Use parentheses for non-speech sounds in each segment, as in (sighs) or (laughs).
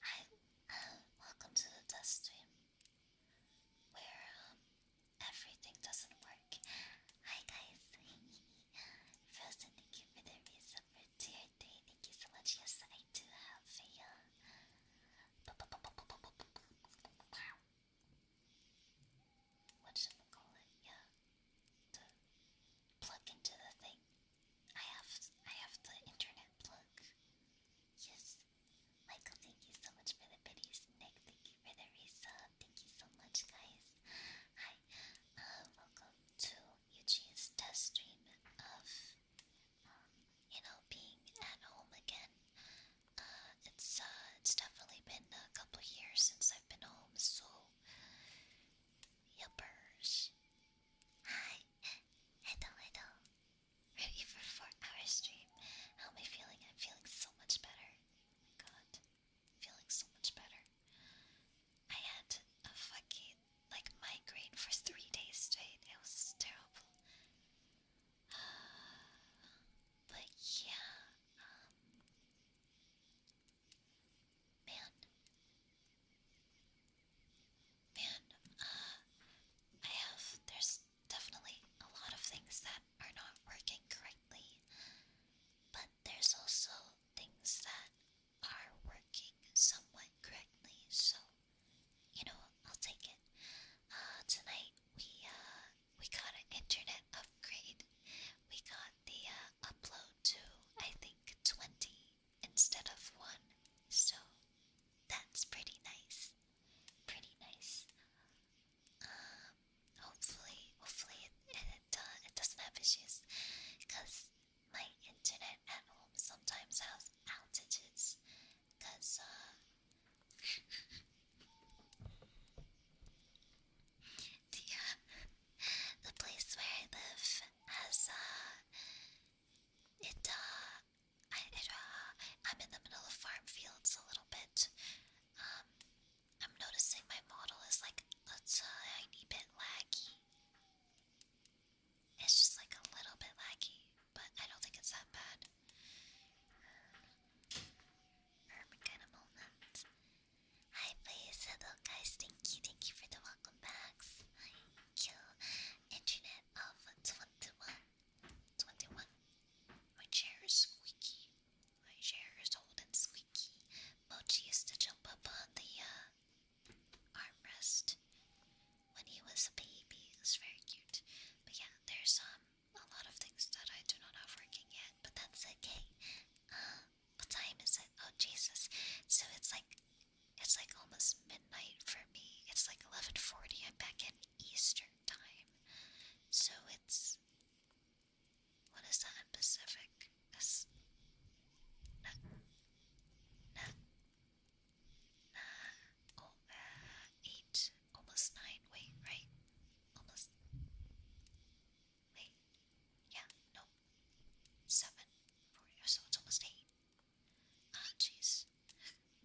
Hi, welcome to the test stream where um, everything doesn't work. Hi guys, (laughs) Frozen, thank you for the reason for Thank you so much. Yes, I do have a. Uh, what should we call it? Yeah. plug into the thing. I have I have the internet plug. Yes. Michael, thank you so much for the biddies. Nick, thank you for the resub. Thank you so much, guys. Hi. Uh, welcome to Eugene's test stream of, um, you know, being at home again. Uh, it's uh, it's definitely been a couple years since I've been home, so yuppers. Hi. Hello, (laughs) hello. Ready for 4 hour stream? How am I feeling? I'm feeling so much better. my god. Feeling so much better. I had a fucking like migraine for three days straight. It was terrible. (sighs) but yeah, um, man, Man, uh, I have. There's definitely a lot of things that are not working correctly, but there's also things that are working somewhat correctly, so, you know, I'll take it. Uh, tonight we, uh, we got an internet upgrade. We got the upload to, I think, 20 instead of one, so that's pretty nice. Pretty nice. Um, hopefully, hopefully it it, it doesn't have issues, cause my internet at home sometimes has outages, cause uh, (laughs) the uh, the place where I live has uh, it uh I, am in the middle of farm fields a little bit. Um, I'm noticing my model is like a tiny bit laggy. It's just like a little bit laggy, but I don't think it's that bad. Erm, erm, kind of moment. Hi, please, guys. Thank you, thank you for the welcome backs. internet of 21. 21. My chair is squeaky. My chair is old and squeaky. Mochi used to jump up the uh, armrest when he was a baby. It very cute. But yeah, there's um a lot of things that I do not have working yet, but that's okay. Uh, what time is it? Oh Jesus! So it's like it's like almost midnight for me. It's like 11:40. I'm back in Eastern time. So it's what is that in Pacific? It's na, na, na, oh, uh, almost nine. Wait, right? Almost. Wait, yeah, no, seven. so it's almost eight. Ah, jeez.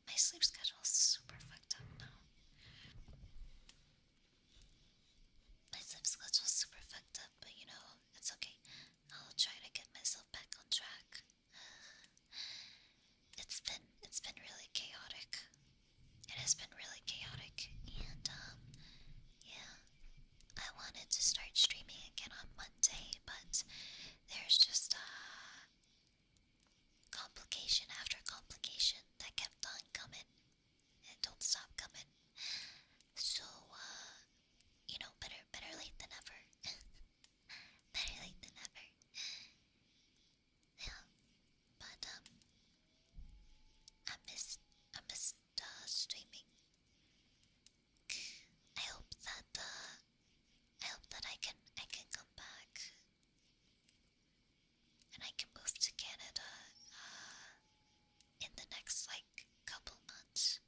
My sleep schedule's super fucked up now. My sleep schedule's super fucked up, but you know, it's okay. I'll try to get myself back on track. (sighs) It's been it's been really chaotic. It has been really chaotic, and um, yeah, I wanted to start streaming again on Monday, but there's just uh, Complication after complication that kept on coming and don't stop coming. So, uh, you know, better better late than ever. (laughs) better late than ever. Yeah, but um, I missed I missed uh, streaming. I hope that uh, I hope that I can I can come back and I can move to Canada uh, in the next like couple months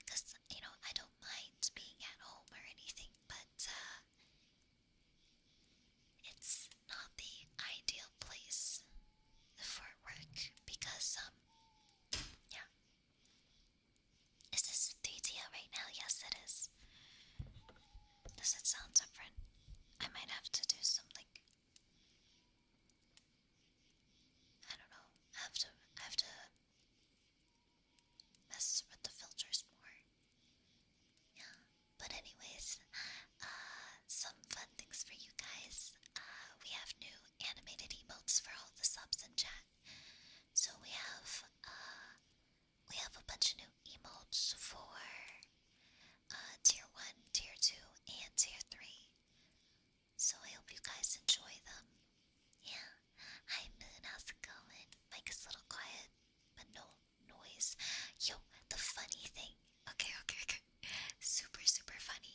because you know I don't mind being at home or anything, but uh, it's not the ideal place for work because um, yeah is this a 3DO right now? Yes, it is. Does it sound different? I might have to do some like I don't know. have to have to mess with the filters more. Yeah. But anyways, uh, some fun things for you guys. Uh, we have new animated emotes for all the subs in chat. So we have uh, we have a bunch of new emotes for uh, tier one, tier two, and tier three. So I hope you guys enjoy them. Yeah. Hi Moon, how's it going? Mike is a little quiet, but no noise. Yo, the funny thing. Okay, okay, okay. (laughs) Super, super funny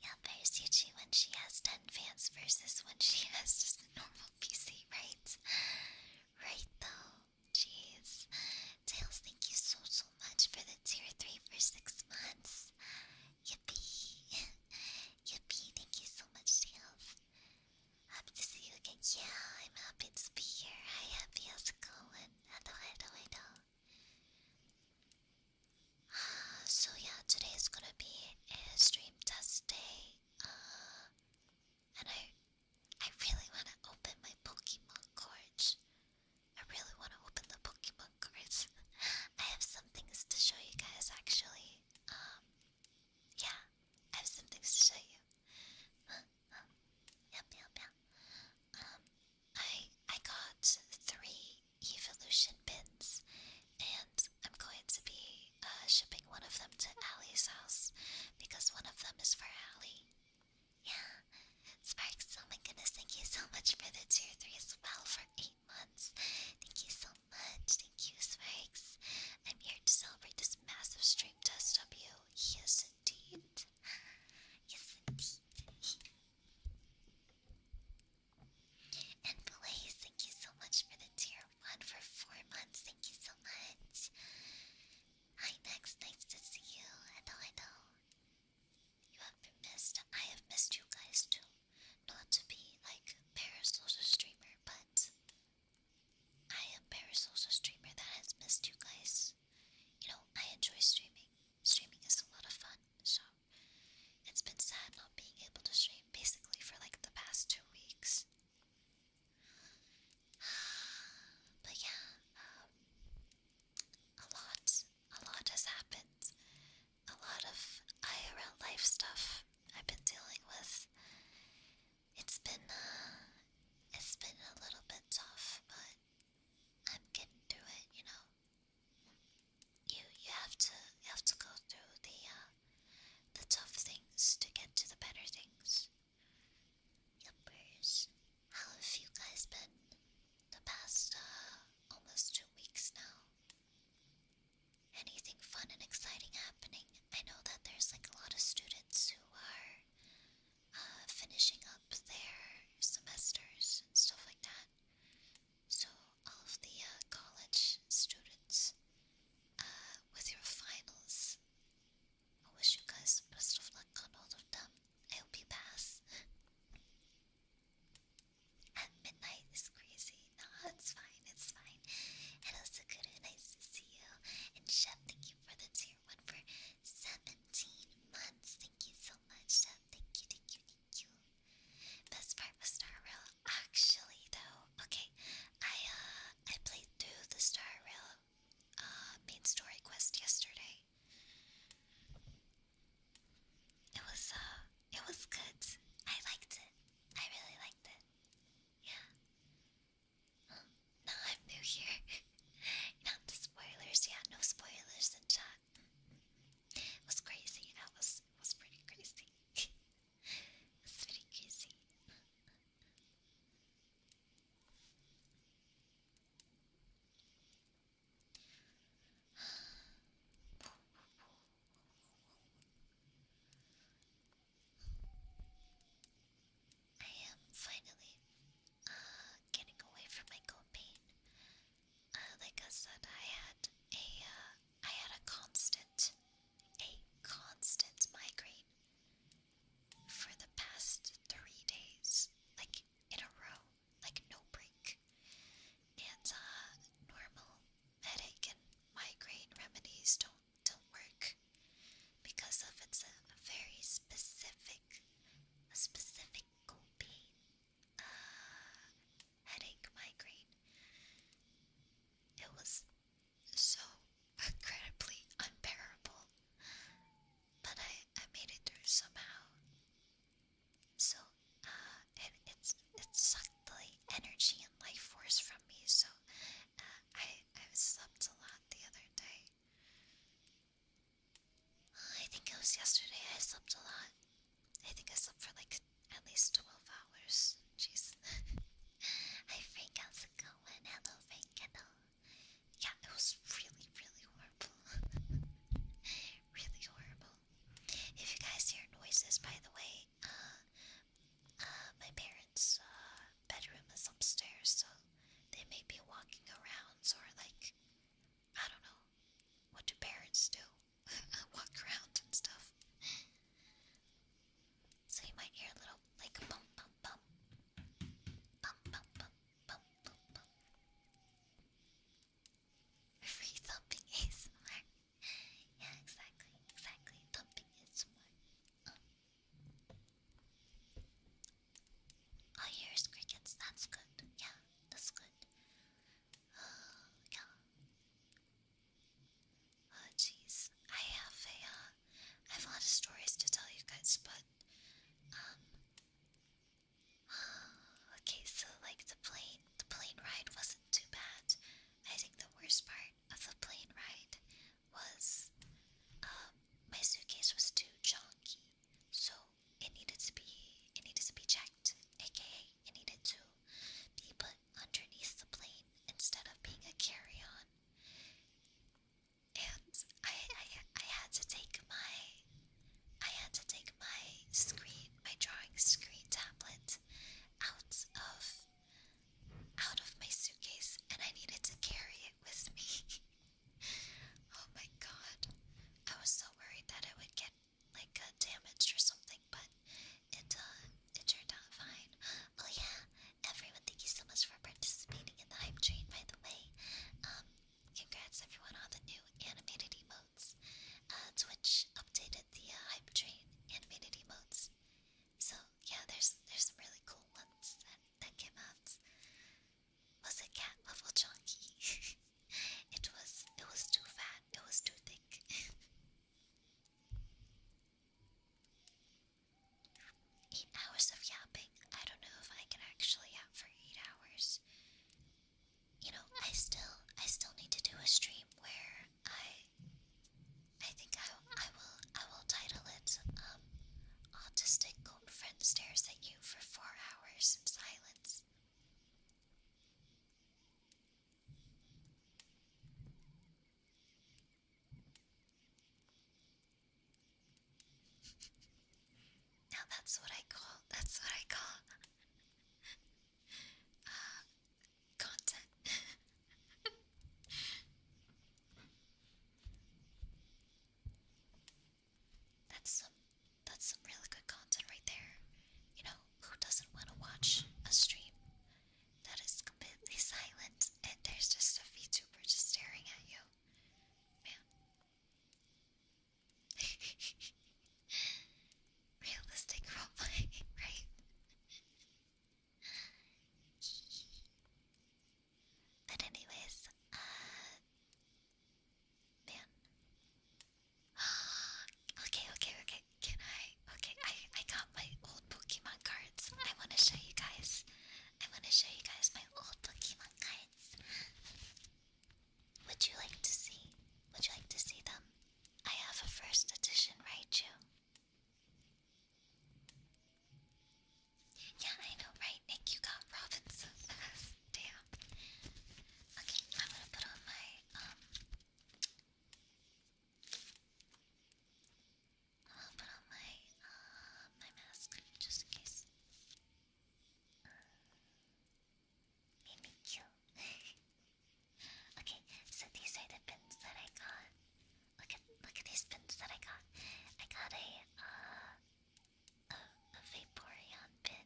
Yeah, there's usually when she has 10 fans versus when she has just a normal PC, right? Right though. Jeez. Tails, thank you so, so much for the tier 3 for 6 months. Yippee. Yippee, thank you so much, Tails. Happy to see you again. Yeah, I'm happy to be here. Hi, happy. going? so yeah, today is gonna be a stream test day. Uh, and I, I really wanna open my Pokemon cards. I really wanna open the Pokemon cards. (laughs) I have some things to show you guys actually. Um, yeah, I have some things to show you. (laughs) Um, yep, yep, Um, I I got three evolution bits, and I'm going to be uh, shipping one of them to Allie's house because one of them is for Allie. Yeah, Sparks. Oh my goodness! Thank you so much for the tier three as well for eight months. Thank you so much. Thank you, Sparks. I'm here to celebrate this massive stream test of you. He indeed. Yes, indeed. and Blaze, thank you so much for the tier 1 for 4 months. Thank you so much. Hi, next. Nice to see you. Hello, hello. You have been missed. I have missed you guys too. Not to be like parasocial streamer, but I am parasocial streamer that has missed you guys. You know, I enjoy streaming. Streaming is a lot of fun, so it's been sad not being able to stream basically for like the past two weeks. (sighs) But yeah, um, a lot, a lot has happened. A lot of IRL life stuff I've been dealing with. It's been, uh, it's been a little bit tough, but I'm getting through it, you know. You you have to have to go through the uh, the tough things to get to the better things. Yuppers. How have you guys been the past uh, almost two weeks now? Anything fun and exciting happening? I know that there's like a lot of students who are uh, finishing up their semesters and stuff like that. So, all of the uh, college students uh, with your finals, I wish you guys the best of luck on all of them. I hope you pass. At midnight is crazy. No, it's fine, it's fine. And also, good, and nice to see you. And Chef, thank you for the tea one for 17 months. Thank you so much, Thank you, thank you, thank you. Best part was Star Rail. Actually, though, okay, I uh, I played through the Star Rail uh, main story quest yesterday. It was uh, it was good. I liked it. I really liked it. Yeah. Um, no, I'm new here. (laughs) Not spoilers, yeah, no spoilers in chat. was crazy. That was was pretty crazy. (laughs) it pretty crazy. I am finally uh, getting away from my cold pain. Uh, like I said, I had a uh, had a constant, a constant migraine for the past three days, like in a row, like no break. And normal headache and migraine remedies don't don't work because of it's a very specific a specific pain, uh, headache, migraine. It was so incredibly unbearable, but I, I made it through somehow. So, uh, it, it sucked the energy and life force from me, so uh, I, I slept a lot the other day. I think it was yesterday I slept a lot. I think I slept for like at least 12 hours. Jeez. Hi Frank, how's it going? Hello Frank, hello. Yeah, it was really, really horrible. (laughs) really horrible. If you guys hear noises, by the way, uh, uh, my parents' uh, bedroom is upstairs, so they may be walking around or like I don't know. What do parents do? (laughs) Walk around and stuff. So you might hear a little like a bump bump bump. Bump bump bump bump bump bump. (laughs) (laughs) yeah, exactly, exactly. Thumping ASMR. Um. I hear crickets, that's good. Yeah, that's good. yeah. Oh, jeez. I have a, uh, have a lot of stories to tell you guys, but, um, (sighs) okay, so, like, the plane, the plane ride wasn't too bad. I think the worst part of the plane ride was, um, my suitcase was too chunky. So it needed to be it needed to be checked, aka it needed to be put underneath the plane instead of being a carry-on. And I, I I had to take my I had to take my screen, my drawing screen tablet out of out of my suitcase and I needed to carry it with me. (laughs) Oh my god. I was so worried that it would get like uh, damaged or something, but it uh, it turned out fine. Oh yeah, everyone thank you so much for participating in the hype train by the way. Um congrats everyone on the new animated emotes. Uh Twitch updated the uh, hype train animated emotes. So yeah, there's there's some really cool ones that, that came out was a cat level chunky. (laughs) it was it was too fat, it was too thick. (laughs) eight hours of yapping. I don't know if I can actually yap for eight hours. You know, I still I still need to do a stream where I I think I I will I will title it um autistic friend stares at you for four hours in silence. now that's what I call that's what I call (laughs) uh, content. (laughs) That's some that's some really good content right there. You know, who doesn't want to watch a stream that is completely silent and there's just a VTuber just staring at you? Man. (laughs) Realistic roleplay, (laughs) right? but anyways, uh Man. (gasps) okay, okay, okay. Can I? Okay, I I got my old Pokemon cards. I want to show you guys. I want to show you guys my old Pokemon cards. Would you like to see? Would you like to see them? I have a first edition Raichu. Yeah, I know, right? Nick, you got Robinson. (laughs) too. Okay, I'm gonna put on my um I'll put on my uh my mask just in case. Uh, cute. (laughs) okay, so these are the pins that I got. Look at look at these pins that I got. I got a uh a, a Vaporeon pin.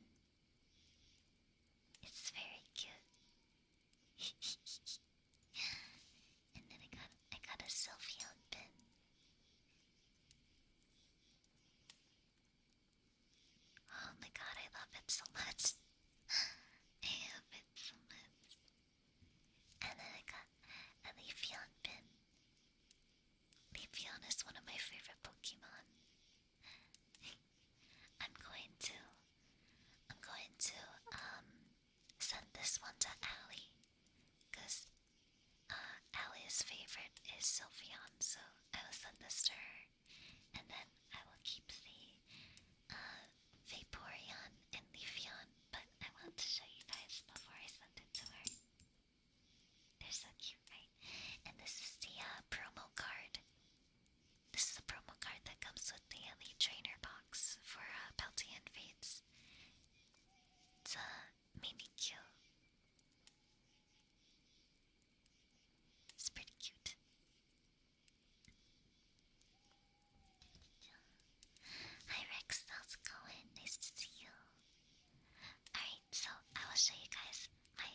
It's very cute. (laughs) and then I got I got a selfie outfit. Oh my god, I love it so much. (laughs) I love it so much. And then I got a leafy outfit. Leafeon is one of my favorite Pokemon. (laughs) I'm going to I'm going to um send this one to Allie. Cause uh Allie's favorite is Sylveon, so I will send this to her. And then I will keep the uh Vaporeon and Leafeon, but I want to show you guys before I send it to her. They're so cute, right? And this is the uh, promo card. This is the promo card that comes with the Elite Trainer box for uh, and Fates. It's a uh, Mimikyu. It's pretty cute. Hi Rex, how's going? Nice to see you. Alright, so I will show you guys my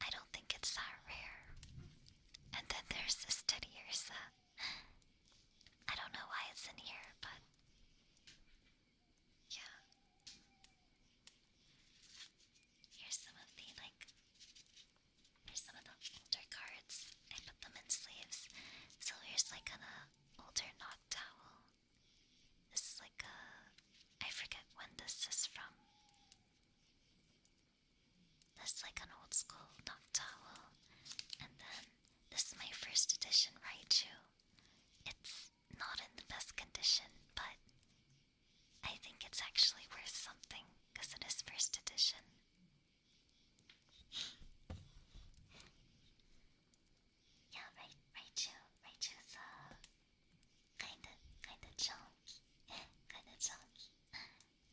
I don't think it's that rare. And then there's this teddy Tediersa. I don't know why it's in here, but yeah. Here's some of the like here's some of the older cards. I put them in sleeves. So here's like an uh, older knot towel. This is like a I forget when this is from. That's like an old school Noctowl. And then this is my first edition Raichu. It's not in the best condition, but I think it's actually worth something because it is first edition. yeah, Ra Raichu. Raichu's a uh, Kinda, kinda chunky. (laughs) kinda chunky. (laughs)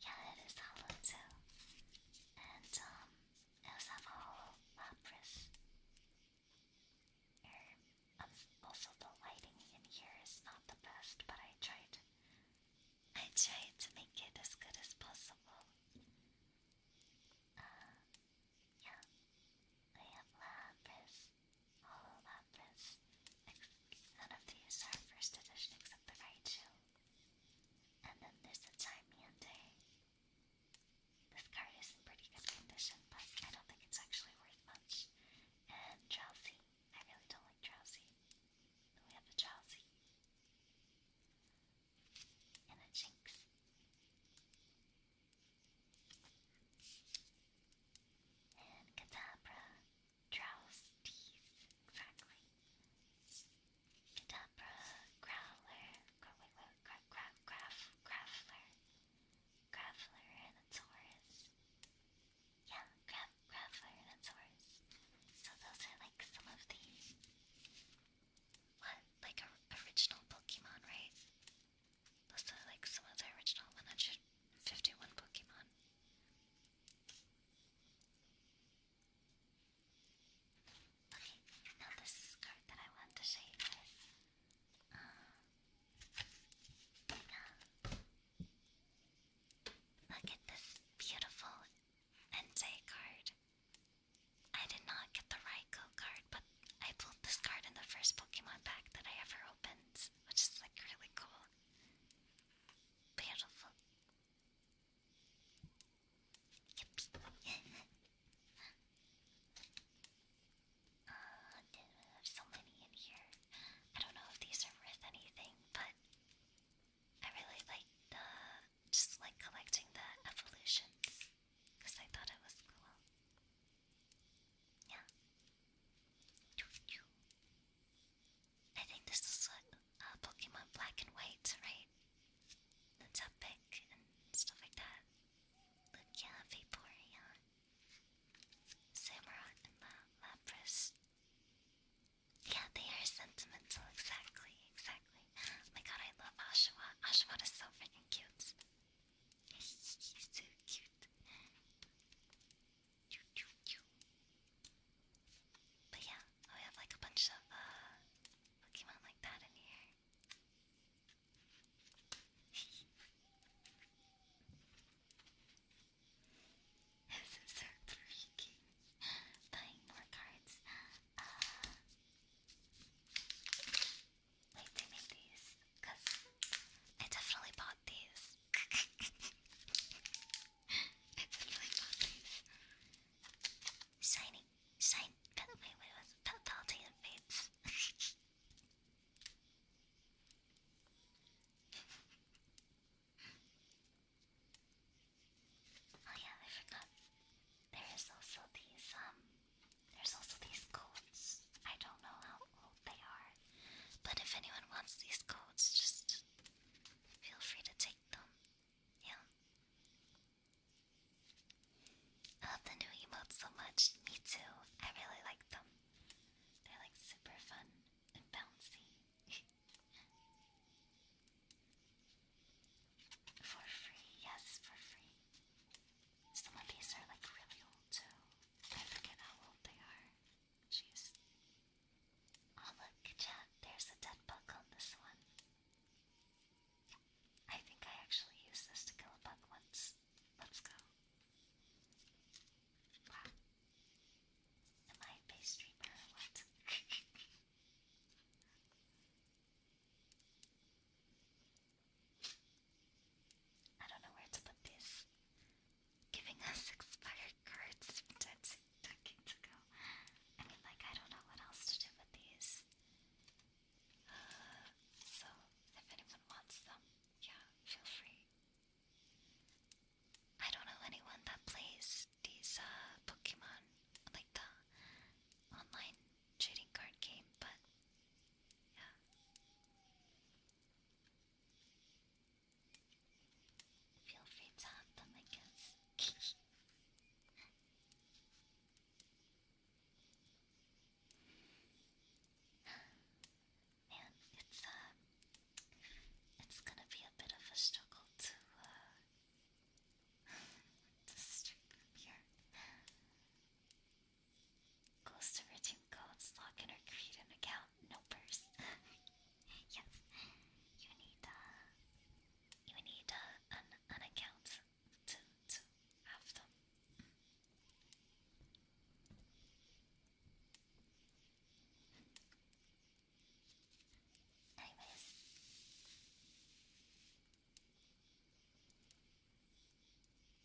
Yeah, it is hollow too. And um, I also have a hollow er, Um, also, the lighting in here is not the best, but I tried. I tried to make it as good as possible. Uh, yeah, I have lapis, all about this. None of these are first edition except the Raichu. And then there's the Chimiente. This card is in pretty good condition, but I don't think it's actually worth much. And Drowsy. I really don't like Drowsy. we have a Drowsy. And a Jinx. And Kadabra draws teeth, exactly. Kadabra, Growler, Growler, Growler, Growler, Growler, and a Taurus. Yeah, Grav, Growler, and a Taurus. So those are like some of the. What? Like original Pokemon, right? That's the, like some of the original 151 Pokemon. Okay, now this card that I want to show you guys. Uh, look at this beautiful Entei card. I did not get the Raikou card, but I pulled this card in the first Pokemon pack that I ever opened which is like really cool. Beautiful. uh, (laughs) oh, there's so many in here. I don't know if these are worth anything, but I really like the just like collecting the evolutions because I thought it was cool. Yeah. I think this is what uh, Pokemon Black and White, right? That's epic and stuff like that. Lugia, Vaporeon, Samurott, and La Lapras. Yeah, they are sentimental, exactly, exactly. Oh my god, I love Oshawa. Oshawa is so freaking cute. (laughs) He's so cute. But yeah, oh, we have like a bunch of uh, Pokemon like that in here. (laughs) this is so freaking (laughs) more cards. Uh, wait, they make these because I definitely bought these. (laughs) I definitely bought these. Shiny. Shine. By the wait, was pal Palatine Fates? oh yeah, I forgot. There's also these, um, there's also these coats. I don't know how they are. But if anyone wants these codes, just feel free to take them. Yeah. I love the new emotes so much. Me too. I really like them. They're like super fun and bouncy. (laughs) for free, yes, for free. Some of these are like really old too. I forget how old they are. Oh look, chat, there's a dead bug on this one. I think I actually used this to kill a bug once. Let's go. Wow. Am I a base streamer or what? (laughs) I don't know where to put this giving us expired cards from decades ago. I like, I don't know what else to do with these. Uh, so, if anyone wants them, yeah, feel free. I don't know anyone that plays these uh, Pokemon, like the online trading card game, but yeah. Feel free to have them, I guess. Man, it's um, it's gonna be a bit of a struggle to uh, to stream here. Ghost originally codes, login, or create an account. No purse. (laughs) yes, you need uh, you need uh, an account to have them. Anyways.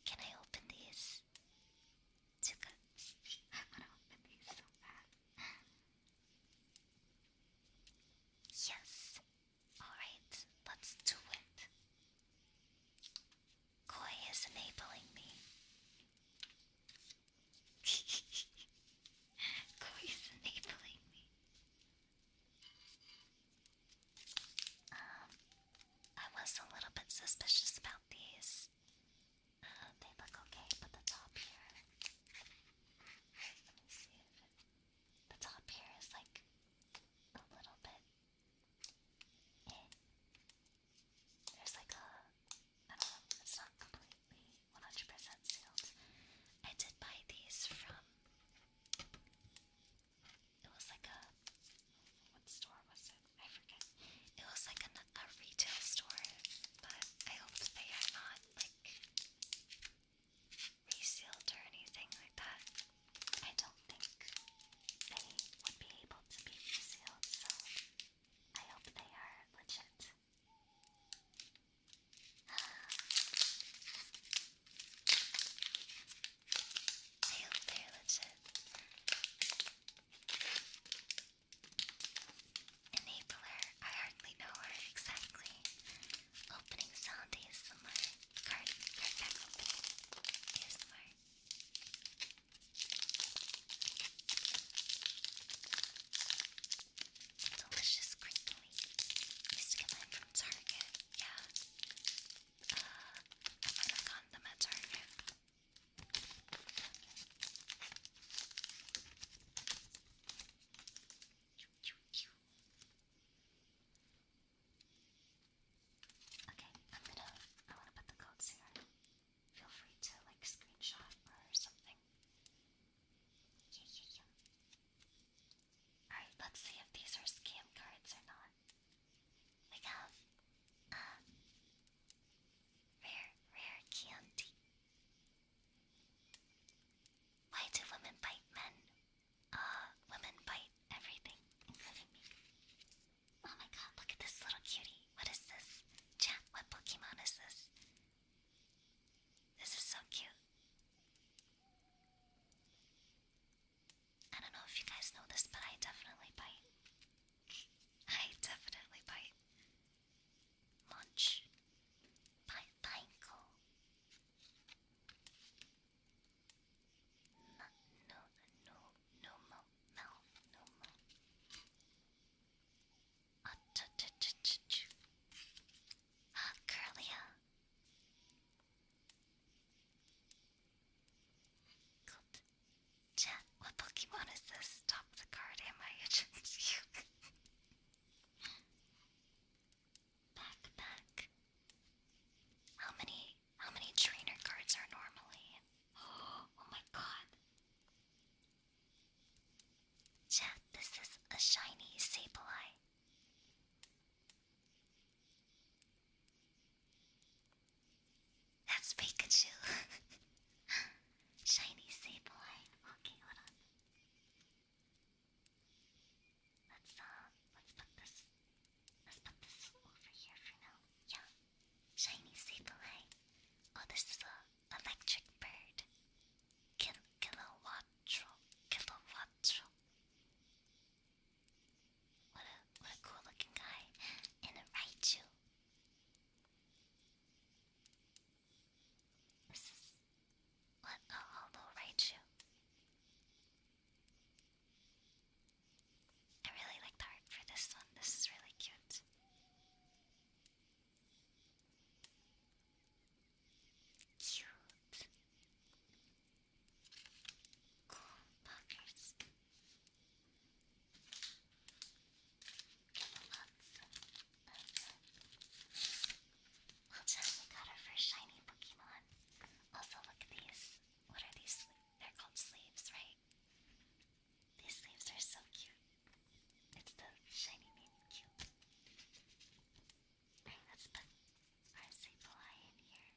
Can I open these? 지금 I want these so bad. Yes. Alright, let's do it. Koi is enabling me. (laughs) Koi is enabling me. Um, I was a little bit suspicious about these they look okay, but the top here. the top here is like a little bit. Eh. There's like a. I don't know, it's not completely 100% sealed. I did buy these from. It was like a. What store was it? I forget. It was like a, a retail store, but I hope they are not like resealed or anything like that. I don't think they would be able to be resealed, so I hope they are legit. (sighs) I hope they're legit. Enabler, I hardly know her exactly. Opening sound ASMR. Card, card pack opening ASMR. Delicious crinkly. Used to get from Target, yeah. Uh, I might have them at Target. Okay, I'm gonna. I want to put the codes here. Feel free to like screenshot or something. Yeah, yeah, yeah. Alright, let's see if these are scam cards or not. We have Ah, rare, rare candy. Why do women bite men? Uh, women bite everything, including me. Oh my god, look at this little cutie. What is this? Chat, what Pokemon is this? This is so cute. I don't know if you guys know this, but I definitely bite. I definitely bite. Lunch. Bite pineco. No, no, no, no more, no, no more. Ah, uh, curlia. Ah. Good. Chat, what Pokemon is this? Stop the card, am I (laughs) agents How many how many trainer cards are normally? (gasps) Oh, my god. Chat, this is a shiny Sableye. That's Pikachu. (laughs) Shiny Sableye. Okay, hold on. Let's uh let's put this let's put this over here for now. Yeah. Shiny Sableye. Oh this is a electric bird. Kill kilowattrol. Kilowattrol. What a what a cool looking guy. And a Raichu. This is what a hollow Raichu. I really like the art for this one. This is really cute. Cute. Cool buggers. Lots of we got our first shiny Pokemon. Also, look at these. What are these? They're called sleeves, right? These sleeves are so cute. It's the shiny name cute. let's put our Sableye in here.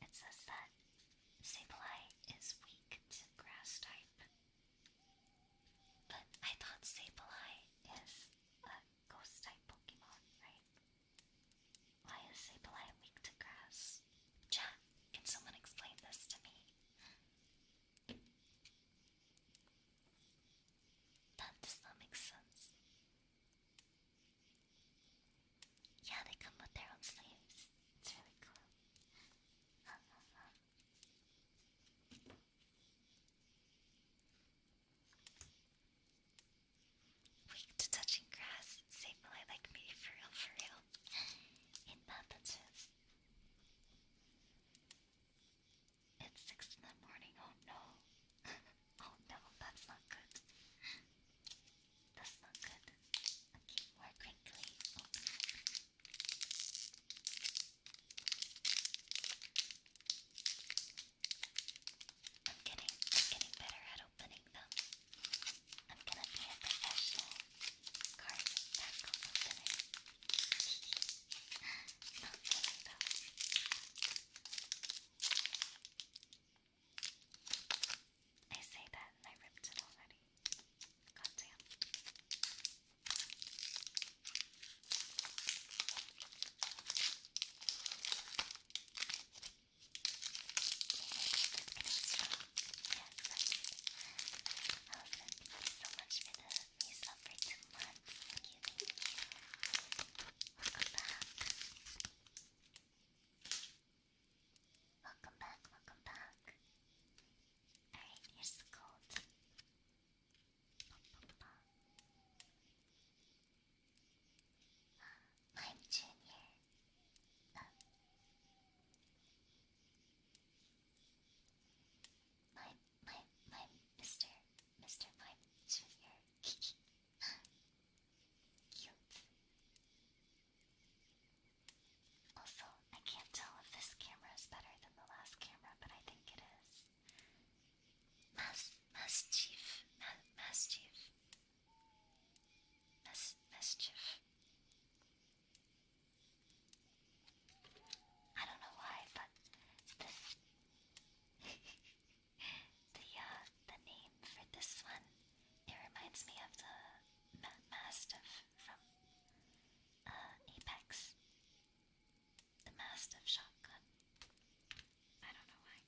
It says that Sableye is weak to grass type. But I thought Sableye is a ghost type Pokemon, right? Why is Sableye weak to grass? can someone explain this to me? That does not make sense. Yeah, they come with their own sleeves. really cool. (laughs) Weak to touching grass, save my like me for real, for real. (laughs) In that it's six in the morning. Oh no. (laughs) oh no, that's not good. That's not good. I'm getting, I'm getting better at opening them. I'm gonna be a professional card tackle opener. Not funny though. I say that and I ripped it already. God damn. Yes, I was oh, thank you so much for the with me suffer two months. Thank you, Welcome back. Welcome back, welcome back. Alright, here's the code. I'm Junior. Uh, my my my Mr. Mr. Mime Junior. Cute. Also, I can't tell if this camera is better than the last camera, but I think it is. Mass Chief. Mass Chief. Mass Chief. I don't know why, but this the uh, the name for this one, it reminds me of the Mastiff from uh, Apex. The Mastiff shotgun. I don't know why.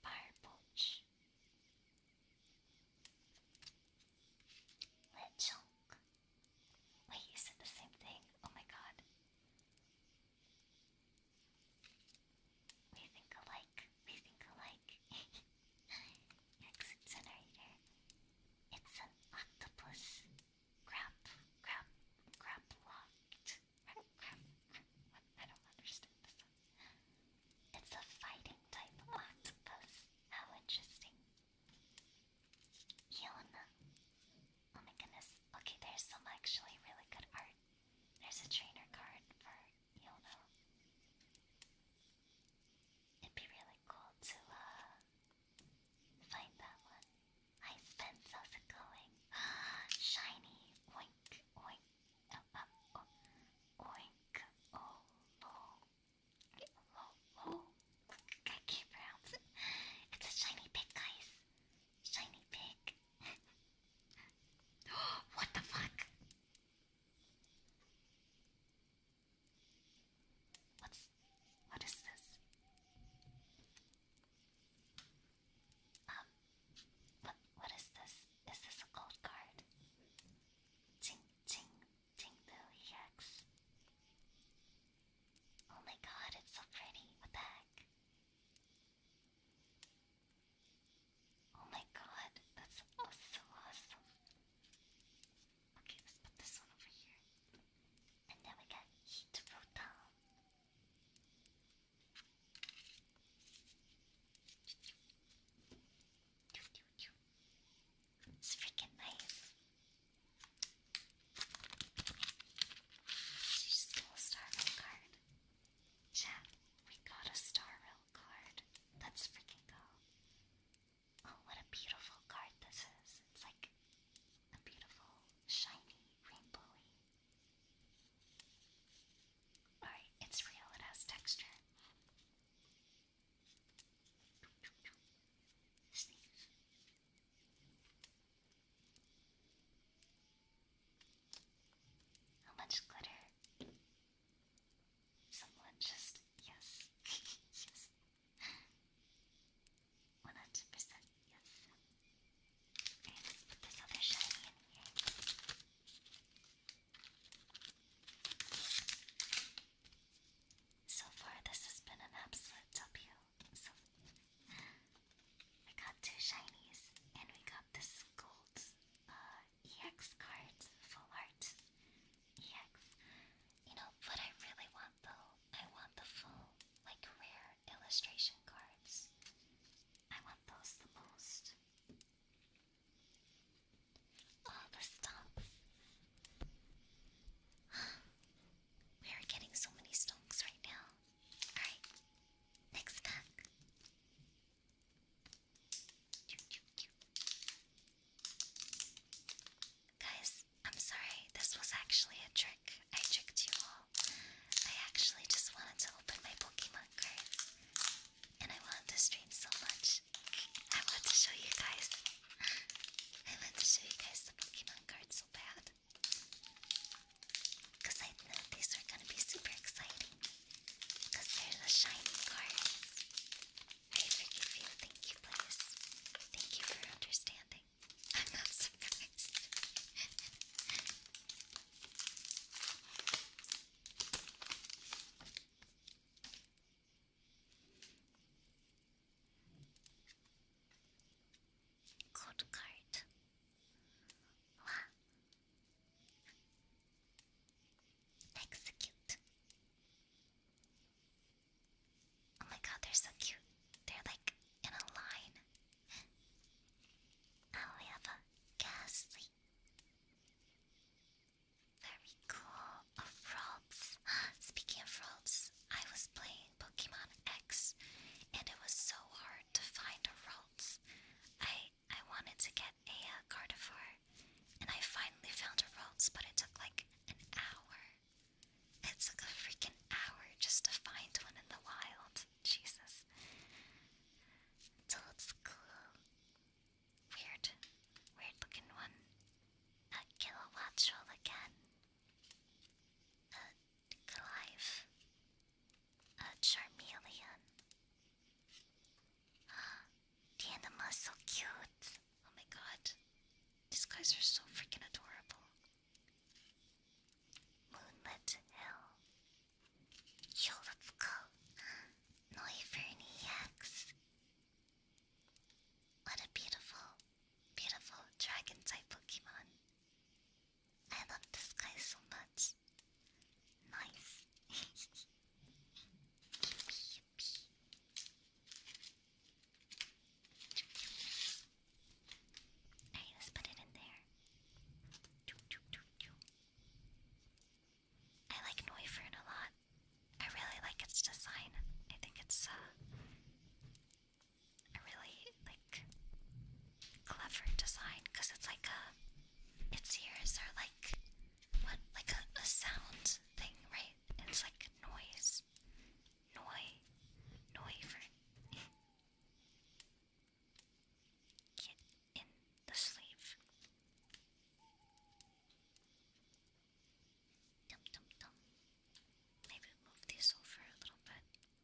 Fire Poach. Wait, you said the same thing. Oh my god. We think alike. We think alike. (laughs) Exit generator. It's an octopus. Crap, crap, crap locked. I don't understand this It's a fighting type octopus. How interesting. Yona. Oh my goodness. Okay, there's some actually really good art. There's a trainer card for Yono. It'd be really cool to uh, find that one. Hi Spence, how's going? (gasps) Shiny oink oink oh, oh, oh. oink oh lo lo lo. I can't It's a shiny pig Shiny pig. (gasps) what the fuck? What's what is this? Um what what is this? Is this a gold card? Ching ching ching boo EX. Oh my god, it's so pretty. What the heck? Oh my god, that's so awesome. Okay, let's put this one over here. And then we got heat rotom. It's freaking nice we got a Star Rail card. Let's freaking go. Oh, what a beautiful card this is. It's like a beautiful, shiny, rainbowy. Alright, it's real, it has texture. How much glitter? Someone just, yes, (laughs) yes. 100% yes. So far, this has been an absolute W. So we got two shinies and we got this gold uh, EX card, full art EX. You know what I really want though? I want the full, like rare illustration cards. I want those the most. All the stumps. (sighs) we are getting so many stonks right now. Alright, next pack. Guys, I'm sorry, this was actually a trick. I tricked you all. I actually just wanted to open my Pokemon card, And I wanted to stream so much. I wanted to show you guys. (laughs) I wanted to show you guys the Pokemon cards so bad. Because I know these are going to be super exciting. Because they're shiny cards. I forgive you. Thank you, please. Thank you for understanding. (laughs) I'm not code card. Wow. Execute. Oh my god, they're so cute. They're like in a line. Oh, we have a ghastly. Very cool. A oh, (gasps) Speaking of Frolls, I was playing Pokemon X, and it was so hard to find a Ralts. I I wanted to get a uh, and I finally found a Ralts, but it took like an hour. It took a freaking hour just to find one in the wild. Jesus. So it's Weird, weird looking one. A Kilowatt again. A Clive a Charmeleon. (gasps) the anima's cute. Oh my god. These guys are so freaking adorable. Moonlit Hill. Yo, let (gasps) What a beautiful, beautiful dragon type Pokemon. I love this guy so much. Nice. yippee, let's put it in there. I like Neufern a lot. I really like its design. I think it's uh a really like clever design because it's like a its ears are like what like a, a sound thing, right? It's like noise, noise, noise for in. in the sleeve. Dum dum dum. Maybe move these over a little bit.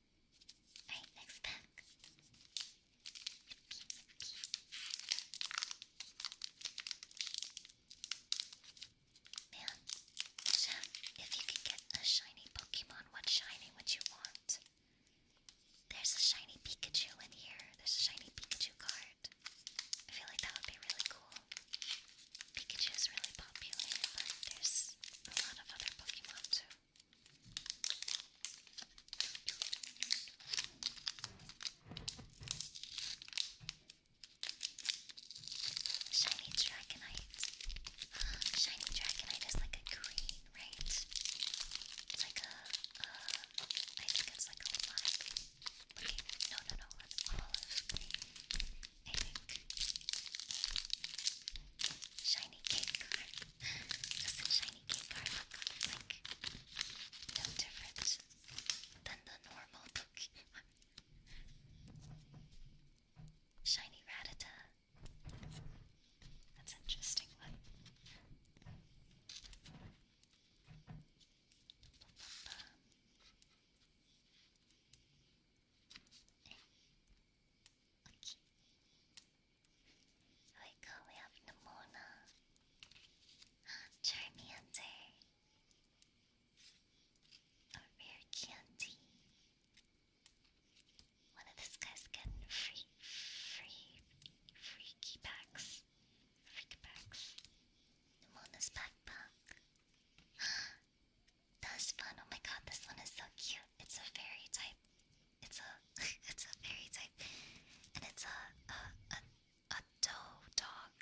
Alright, next pack. Man, Jack, if you could get a shiny Pokemon, what shiny would you want? There's a shiny Pikachu in here. There's a shiny Pikachu card. I feel like that would be really cool. Pikachu is really popular, but there's a lot of other Pokemon too. Shiny Dragonite. Shiny Dragonite is like a green, right? It's like a, uh, think it's like a light. Okay, no, no, no, an olive green, I think. Shiny cake just a shiny cake are like no different than the normal Pokemon. (laughs) Shiny Ratata. That's interesting one. Wake up, oh, we have Nimona. Ah, Charmander. A rare candy. One of these guys getting free, free, free key packs. Freak packs. Nimona's backpack. (gasps) That's fun. Oh my god, this one is so cute. It's a fairy type. It's a (laughs) it's a fairy type, and it's a a a, a doe dog,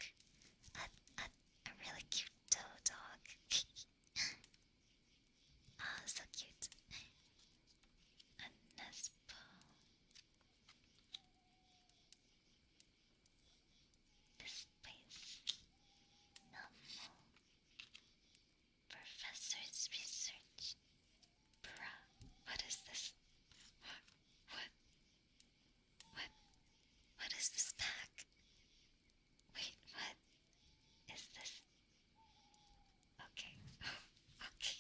a, a a really cute doe dog. (laughs) Ah, so cute. A Nespo. This place. Normal. Professor's research. Bruh, what is this? What? What? What? What is this pack? Wait, what? Is this? Okay. (laughs) okay.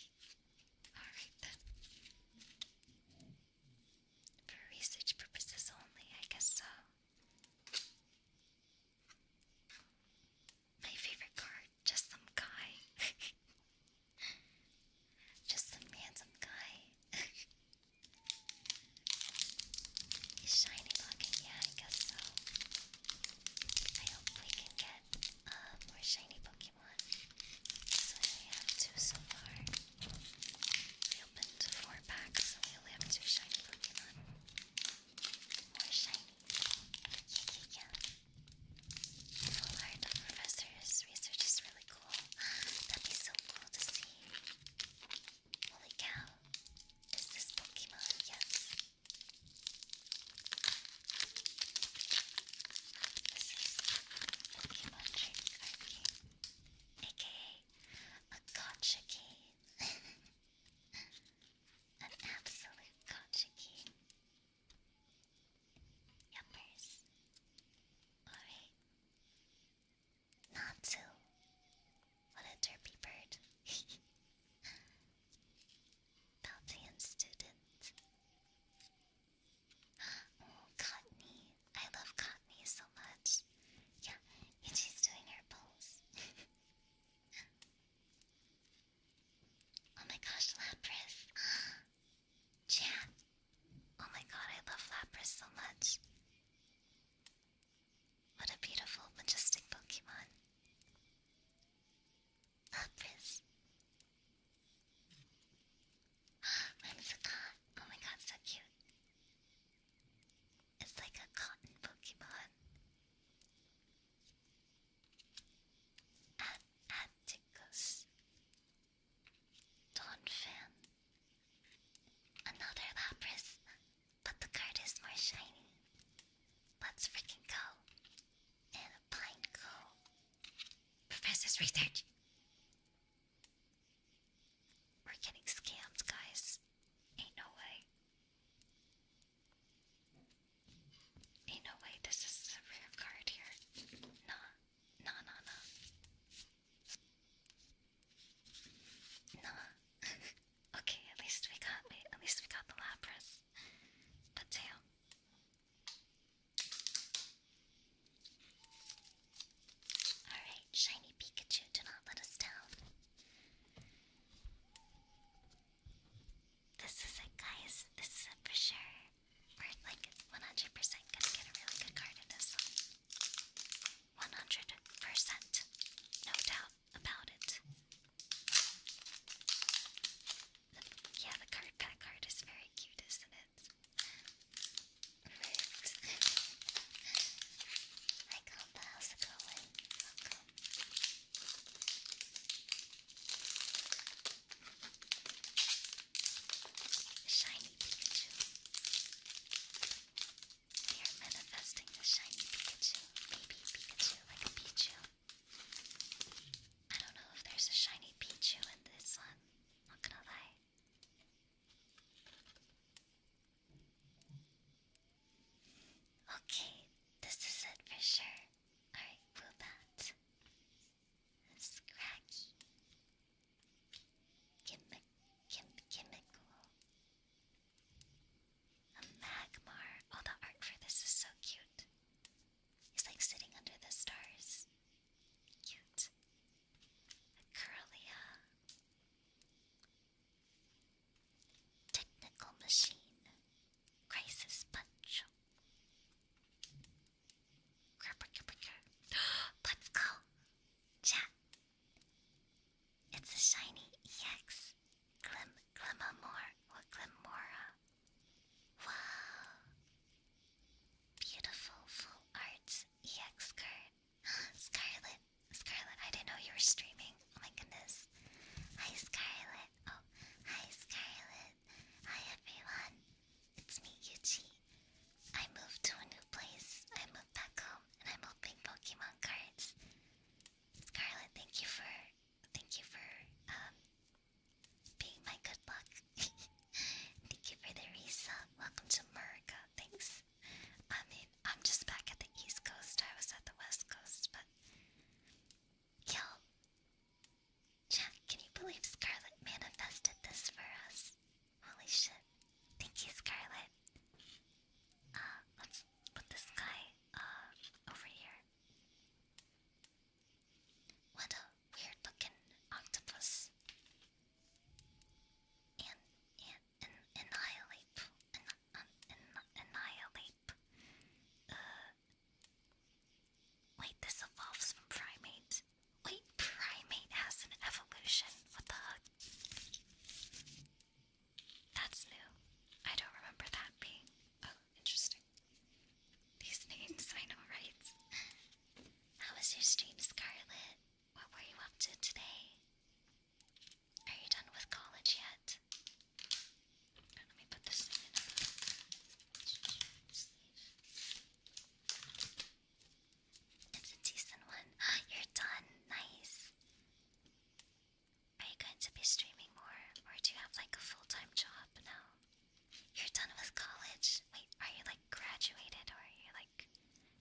Alright then. For research purposes only, I guess so my favorite card. Just some guy. (laughs) Just some handsome guy. (laughs) shiny yeah, I guess so. I hope we can get uh, more shiny Pokemon. So we have two so far. We opened four packs, so we only have two shiny Pokemon. More shiny. Yeah, yeah, yeah. The Professor's research is really cool. That'd be so cool to see. Holy cow. Is Pokemon? Yes. This is Pokemon Drink aka a gotcha game. (laughs) An absolute gotcha game. Yuppers. Alright. Natsu. What a derpy bird. (laughs) Baltian student. (gasps) Oh, Cotney. I love Cotney so much. Yeah, and she's doing her pose. (laughs) Oh my gosh, Lapras! (gasps) Chat! Oh my god, I love Lapras so much. What a beautiful, majestic Pokemon. Lapras. Mine is a Oh my god, so cute. It's like a cotton Pokemon. At Atticus, Donphan, another Lapras, but the card is more shiny. Let's freaking go. And a Pineco. Professor's research. We're getting scammed, guys. Ain't no way. Ain't no way this is a rare card here. Nah, nah, nah, nah. Nah. (laughs) okay, at least we got at least we got the Lapras. But tail. Alright, shiny Pikachu, do not let us down. This is it, guys. This is for sure. We're like 100% gonna get a really good card in this one. 100%. No doubt about it. Yeah, the card pack card is very cute, isn't it? Hi, Compa, Welcome. Shiny Pikachu. We are manifesting a shiny Pikachu. Maybe Pikachu like a Pichu. I don't know if there's a shiny Pichu in this one. Not gonna lie. Okay, this is it for sure. Alright, Woobat. Scraggy. Chemi chem A magmar. Oh, the art for this is so cute. He's like sitting under the stars. Cute. A curlia. Technical machine. Crisis punch. (gasps) Let's go! Chat! It's a shiny EX Glim Glimamore or Glimora. Wow! Beautiful full art EX card. Scarlet! Scarlet, I didn't know you were streaming. Oh my goodness. Hi Scarlet! Oh, hi Scarlet. Hi everyone. It's me, Yuji. I moved to a new place. I moved back home and I'm opening Pokemon cards. Scarlet, thank you for thank you for um being my good luck. (laughs) thank you for the resub. Welcome to America. Thanks. I mean, I'm just back at the East Coast. I was at the West Coast, but yo, Jack, can you believe Scarlet manifested this for us? Holy shit. Thank you, Scarlet. Uh, let's put this guy, uh, over here. What a weird looking octopus. And, and, and, annihilate. An, an, an, annihilate. Uh, Wait, this evolves from primate. Wait, primate has an evolution. What the heck? That's new. I don't remember that being. Oh, interesting. These names, I know, right? How was your stream, Scarlet? What were you up to today? Are you done with college yet? It's a decent one. (gasps) You're done. Nice. Are you going to be streaming more, or do you have like a full time job now? You're done with college. Wait, are you like graduated, or are you like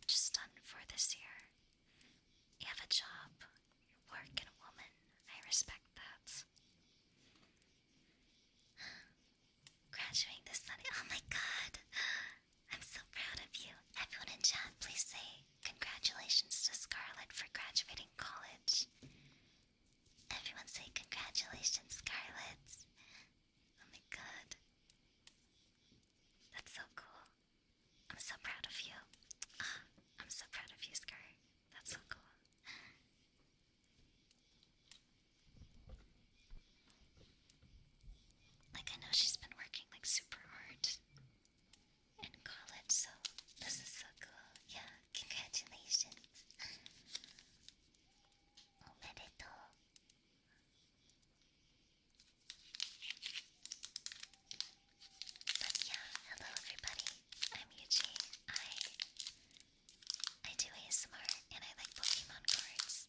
just done for this year? You have a job. You work and woman. I respect that. (sighs) Graduating this Sunday. Oh my god. (gasps) I'm so proud of you. Everyone in chat, please say congratulations to Scarlett for graduating college. Everyone say congratulations, Scarlett. Oh my god. That's so cool. I'm so proud of you. (sighs) I'm so proud of you, Scar. That's so cool. Like, I know she's been working like super hard in college, so this is so cool. Yeah, congratulations. Omedetou. But yeah, hello everybody. I'm Yuji. I I do ASMR and I like Pokemon cards.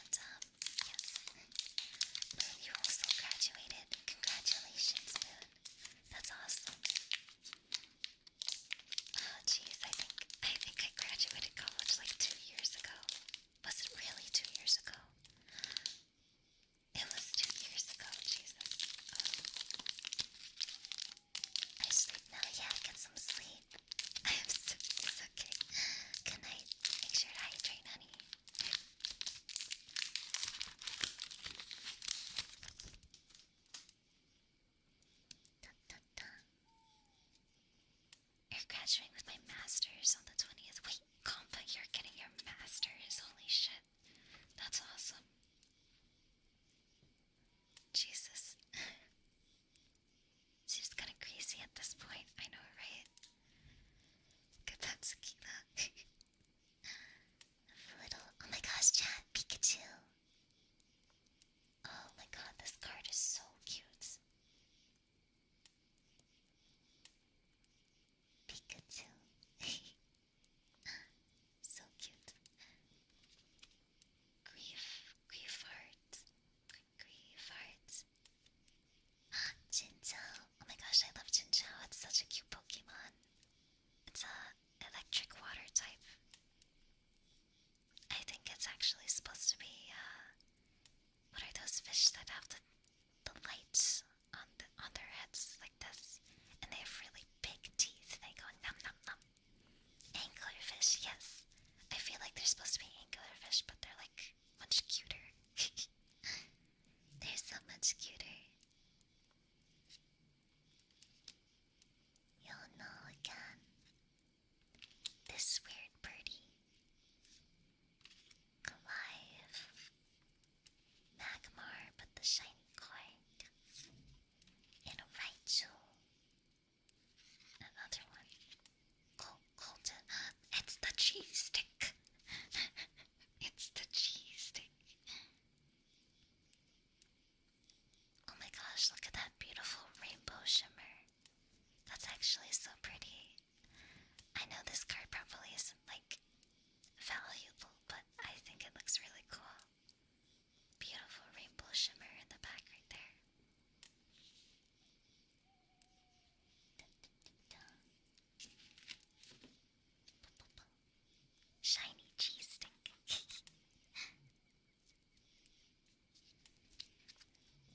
And, um, yes. Moon, you also graduated. Congratulations, Moon. That's awesome. Oh, jeez, I think, I think I graduated college like two years ago. Was it really two years ago? It was two years ago, Jesus. Um, I sleep now. Yeah, get some sleep. (laughs) I am so it's okay. Good night. Make sure to hydrate, honey. Dun, dun, dun. You're graduating with my master's on the 20th. Wait, Compa, you're getting your master's. Holy shit. That's awesome. Jesus. (laughs) She's kind of crazy at this point. I know, right? Look at that little. Oh my gosh, chat. Pikachu. Oh my god, this card is so cute. Pikachu. (laughs) So cute. Grief, grief heart, grief heart. Ah, Oh my gosh, I love Jinjo. It's such a cute Pokemon. It's a electric water type. I think it's actually supposed to be. Uh, what are those fish that have the the lights on the, on their heads like this? And they have really big teeth. They go Anglerfish, yes. I feel like they're supposed to be anglerfish, but they're like much cuter. (laughs) they're so much cuter. You'll know again. This weird birdie. Clive. Magmar put the shiny coin in Raichu Another one. Colton. It's the cheese stick. (laughs) it's the cheese stick. Oh my gosh, look at that beautiful rainbow shimmer. That's actually so pretty. I know this card probably isn't like valuable, but I think it looks really cool. Beautiful rainbow shimmer in the back right there. Shiny cheese stick.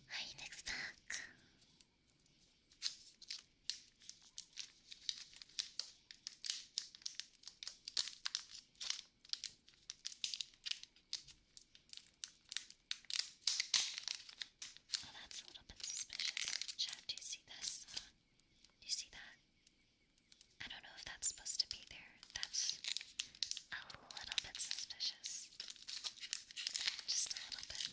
Hi, (laughs) next pack. Oh, that's a little bit suspicious. Chad, do you see this? Uh, do you see that? I don't know if that's supposed to be there. That's a little bit suspicious. Just a little bit.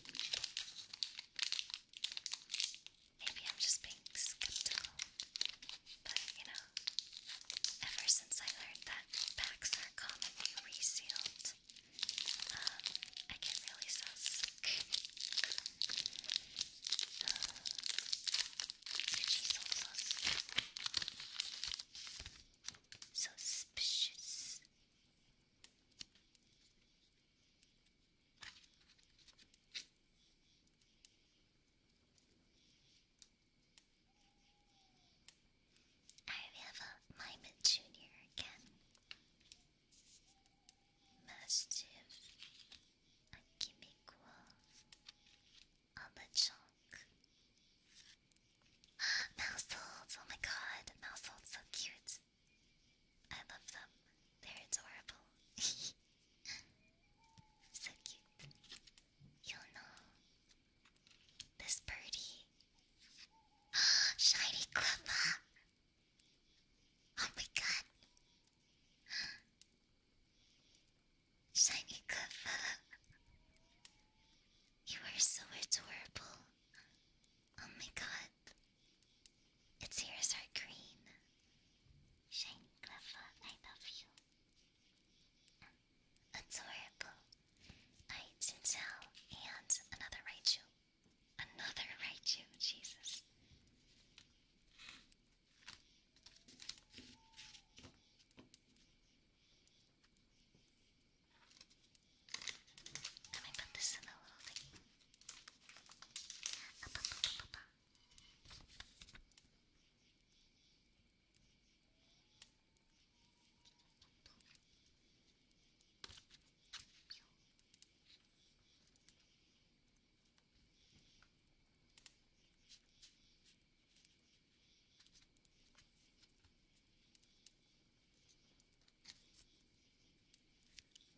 Maybe I'm just being skeptical. But, you know, ever since I learned that packs are commonly resealed, um, I get really sus. Uh, suspicious. Alright, have a Mimut Junior again. Mastiff, Akimiko, Abachonk. (gasps) Mouse holds! Oh my god, mouse so cute. I love them. They're adorable. (laughs) so cute. Yono, this birdie. (gasps) Shiny Clipper! Oh my god. (gasps) Shiny Clipper. You are so adorable. Oh my god. Its ears are green. Shiny Clipper, I love you adorable. I Jinzhao and another Raichu. Another Raichu, Jesus. I'm going put this in a little thing.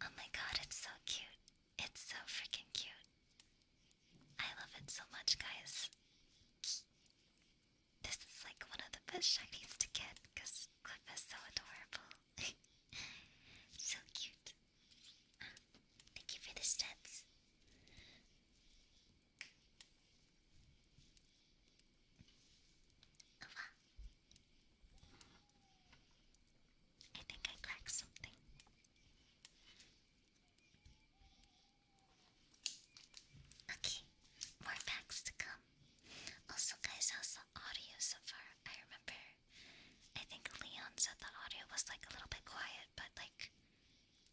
Oh my god, it's so cute. It's so freaking cute. I love it so much, guys. This is like one of the best shinies to get because Cliff is so adorable. (laughs) so cute. thank you for the stats. Oh, I think I cracked something. Okay, more packs to come. Also, guys, how's audio so far? I remember, I think Leon said the audio was like a little bit quiet, but like,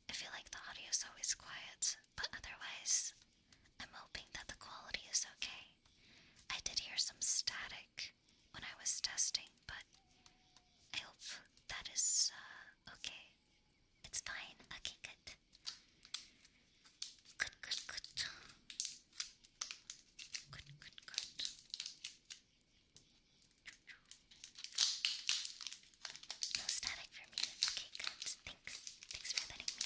I feel like the audio is always quiet. But otherwise, I'm hoping that the quality is okay. I did hear some static when I was testing, but I hope that is uh, okay. It's fine. Okay, good. Good, good, good. Good, good, good. No static for me. Okay, good. Thanks. Thanks for letting me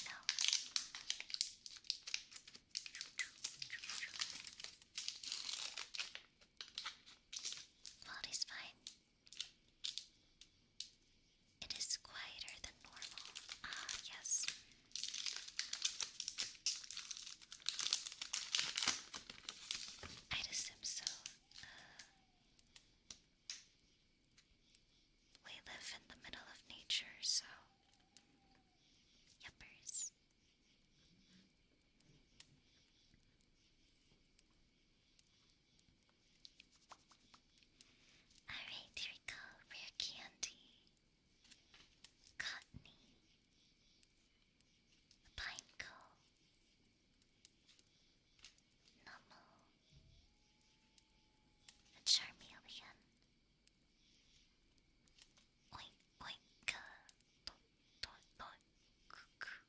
Quality's fine. It is quieter than normal. Ah, yes. i assume so. we live in the middle of nature, so. Yuppers. Alright, here Rare candy. Cottony. Pineco. Nomo. A Charmeleon. Oink, oink, dot, dot, dot, cuckoo.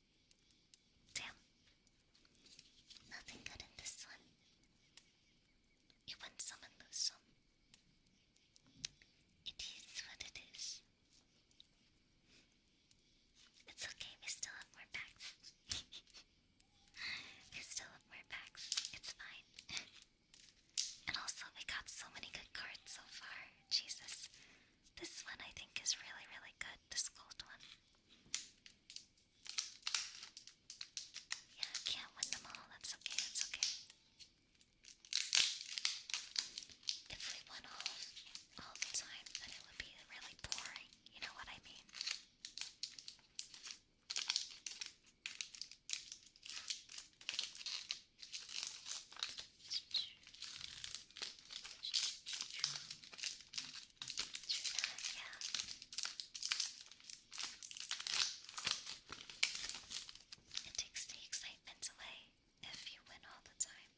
Damn. Nothing good in this one. You win some and lose some. It is what it is. It's okay, we still have more packs. (laughs) we still have more packs. It's fine. and also, we got so many good cards so far. Jesus. This one I think is really, really good. This gold one. Yeah, can't win them all. That's okay, that's okay. If we won all, all the time, then it would be really boring. You know what I mean? you It takes the excitement away if you win all the time.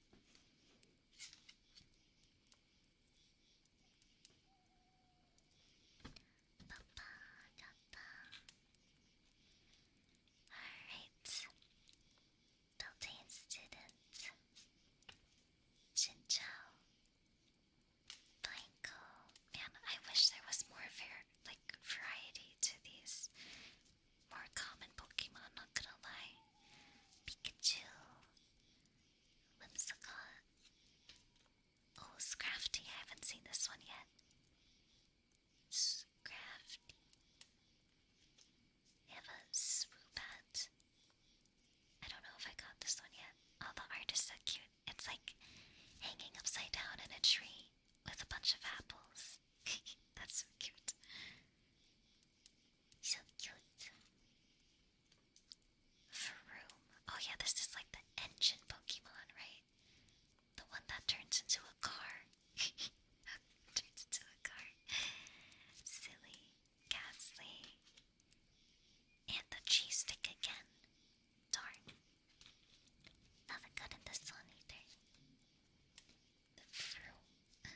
Alright. Building student. Chin Blanco. Man, I wish there was more var like variety to these more common Pokemon, not gonna lie. Pikachu. Whimsicott. Oh, Scrafty, I haven't seen this one yet. Scrafty. have a Swoobat, I don't know if I got this one yet. Oh, the art is so cute. It's like hanging upside down in a tree with a bunch of apples. (laughs) That's so cute. So cute. Vroom. Oh, yeah, this is like the engine Pokemon, right? The one that turns into a car. (laughs) turns into a car. Silly. Ghastly. And the cheese stick again. Darn. Nothing good in this one either. The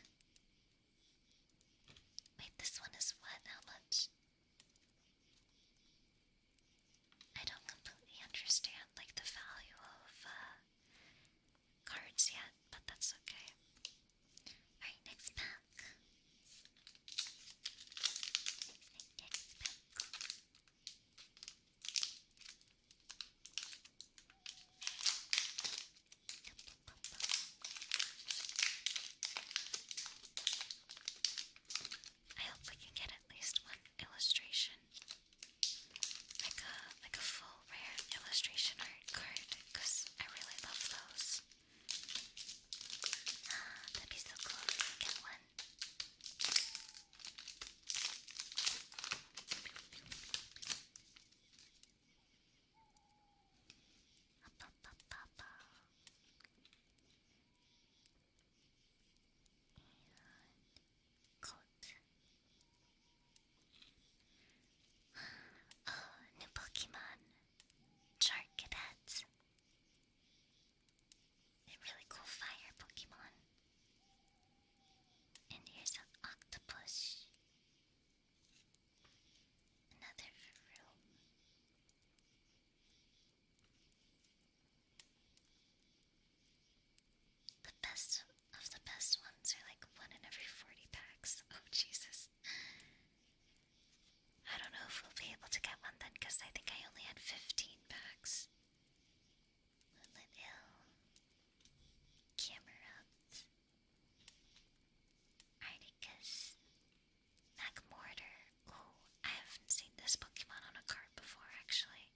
Wait, this one is what? How much? I don't completely understand like the value of uh, cards yet, but that's okay. Alright, next pack. I hope we can get at least one illustration, like a like a full rare illustration art card, because I really love those. Ah, that'd be so cool get one. Up, up, up, up, up. Oh, ah, new Pokemon. Charcadet. A really cool fire Pokemon. And here's an octopus. Another room. The best of the best ones are like one in every 40 packs. Oh, Jesus. I don't know if we'll be able to get one then because I think I only had 15 packs. Moonlit Hill. Camerupt. Oh, I haven't seen this Pokemon on a card before actually.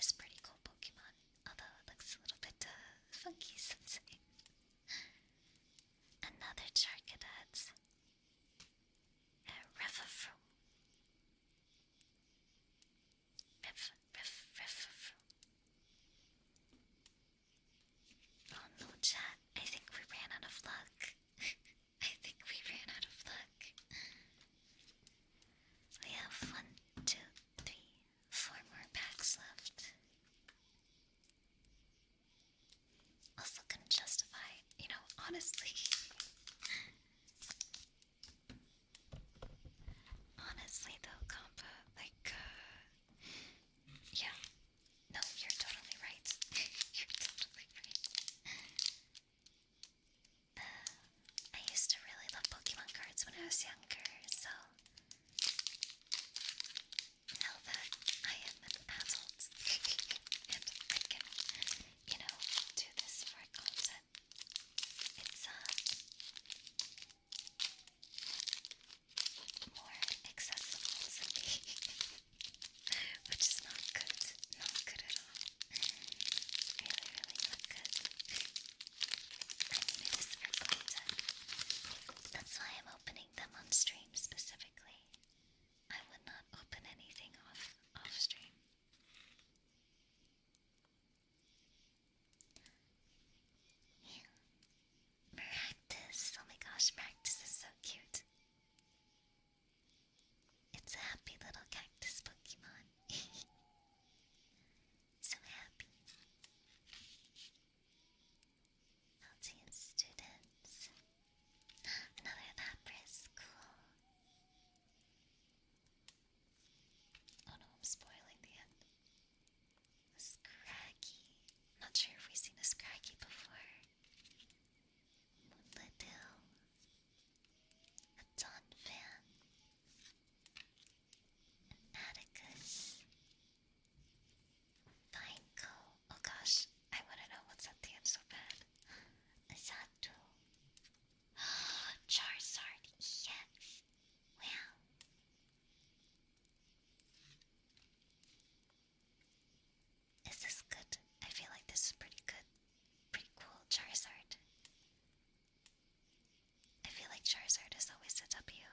It's pretty cool Pokemon, although it looks a little bit uh, funky (laughs) Another Charcadet. A river from river, Oh no, chat! I think we ran out of luck. (laughs) I think we ran out of luck. We have one, two, three, four more packs left. Also gonna justify, you know, honestly. honestly though, Compa, like, uh, yeah. No, you're totally right. (laughs) you're totally right. I used to really love Pokemon cards when I was younger, so now that I am an adult (laughs) and I can, you know, do this for content, it's uh, more accessible to me, (laughs) which is not good, not good at all. Really, really not good. I need this for content. That's why I'm opening them on stream specifically. I would not open anything off off stream. Yeah. Maractus, oh my gosh, Maractus is so cute. It's a happy little cactus Pokemon. (laughs) so happy. Eltian students. Another Lapras, Oh no, I'm spoiling the end. Scraggy. Not sure if we've seen a Scraggy before. Moonladil. A Donphan. An Atticus. Vineco oh gosh, I wanna know what's at the end so bad. Zato. (gasps) Charizard, yes. Wow. Is this good? I feel like this is pretty good. Pretty cool, Charizard. I feel like Charizard is always a W.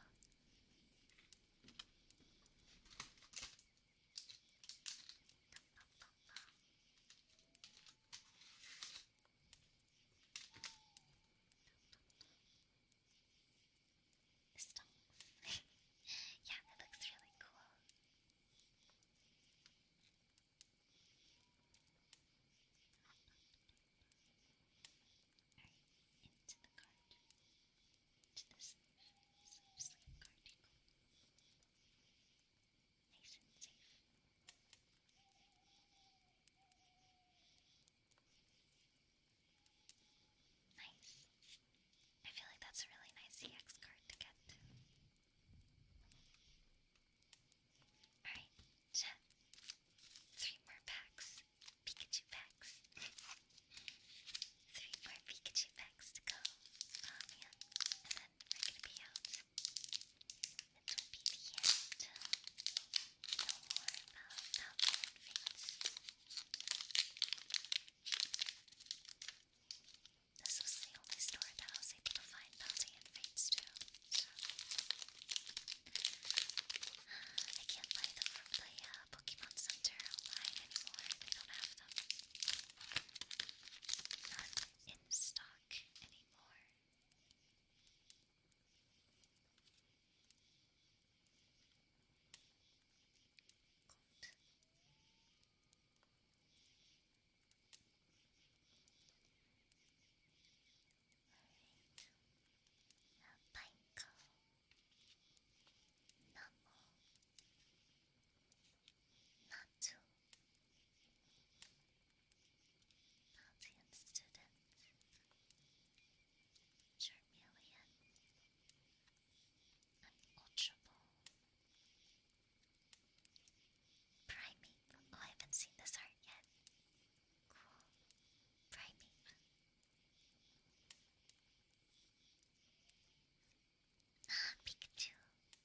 Stonks. (laughs) yeah, that looks really cool. Alright, into the card. Just sleep, Nice I feel like that's a really nice EX card to get. Alright, Three more packs. Pikachu packs. (laughs) Three more Pikachu packs to go. Oh um, man. And then we're gonna be out. It will be the end. No more about Fates. This was the only store that I was able to find Palpatine Fates too. I can't buy the, the uh, Pokemon Center not in stock anymore. Gold. Alright. A Pineco. Numble. Natu Natian student Charmeleon Unalterable Primate. Oh, I haven't seen this art yet. Cool. Primate. Ah, Pikachu,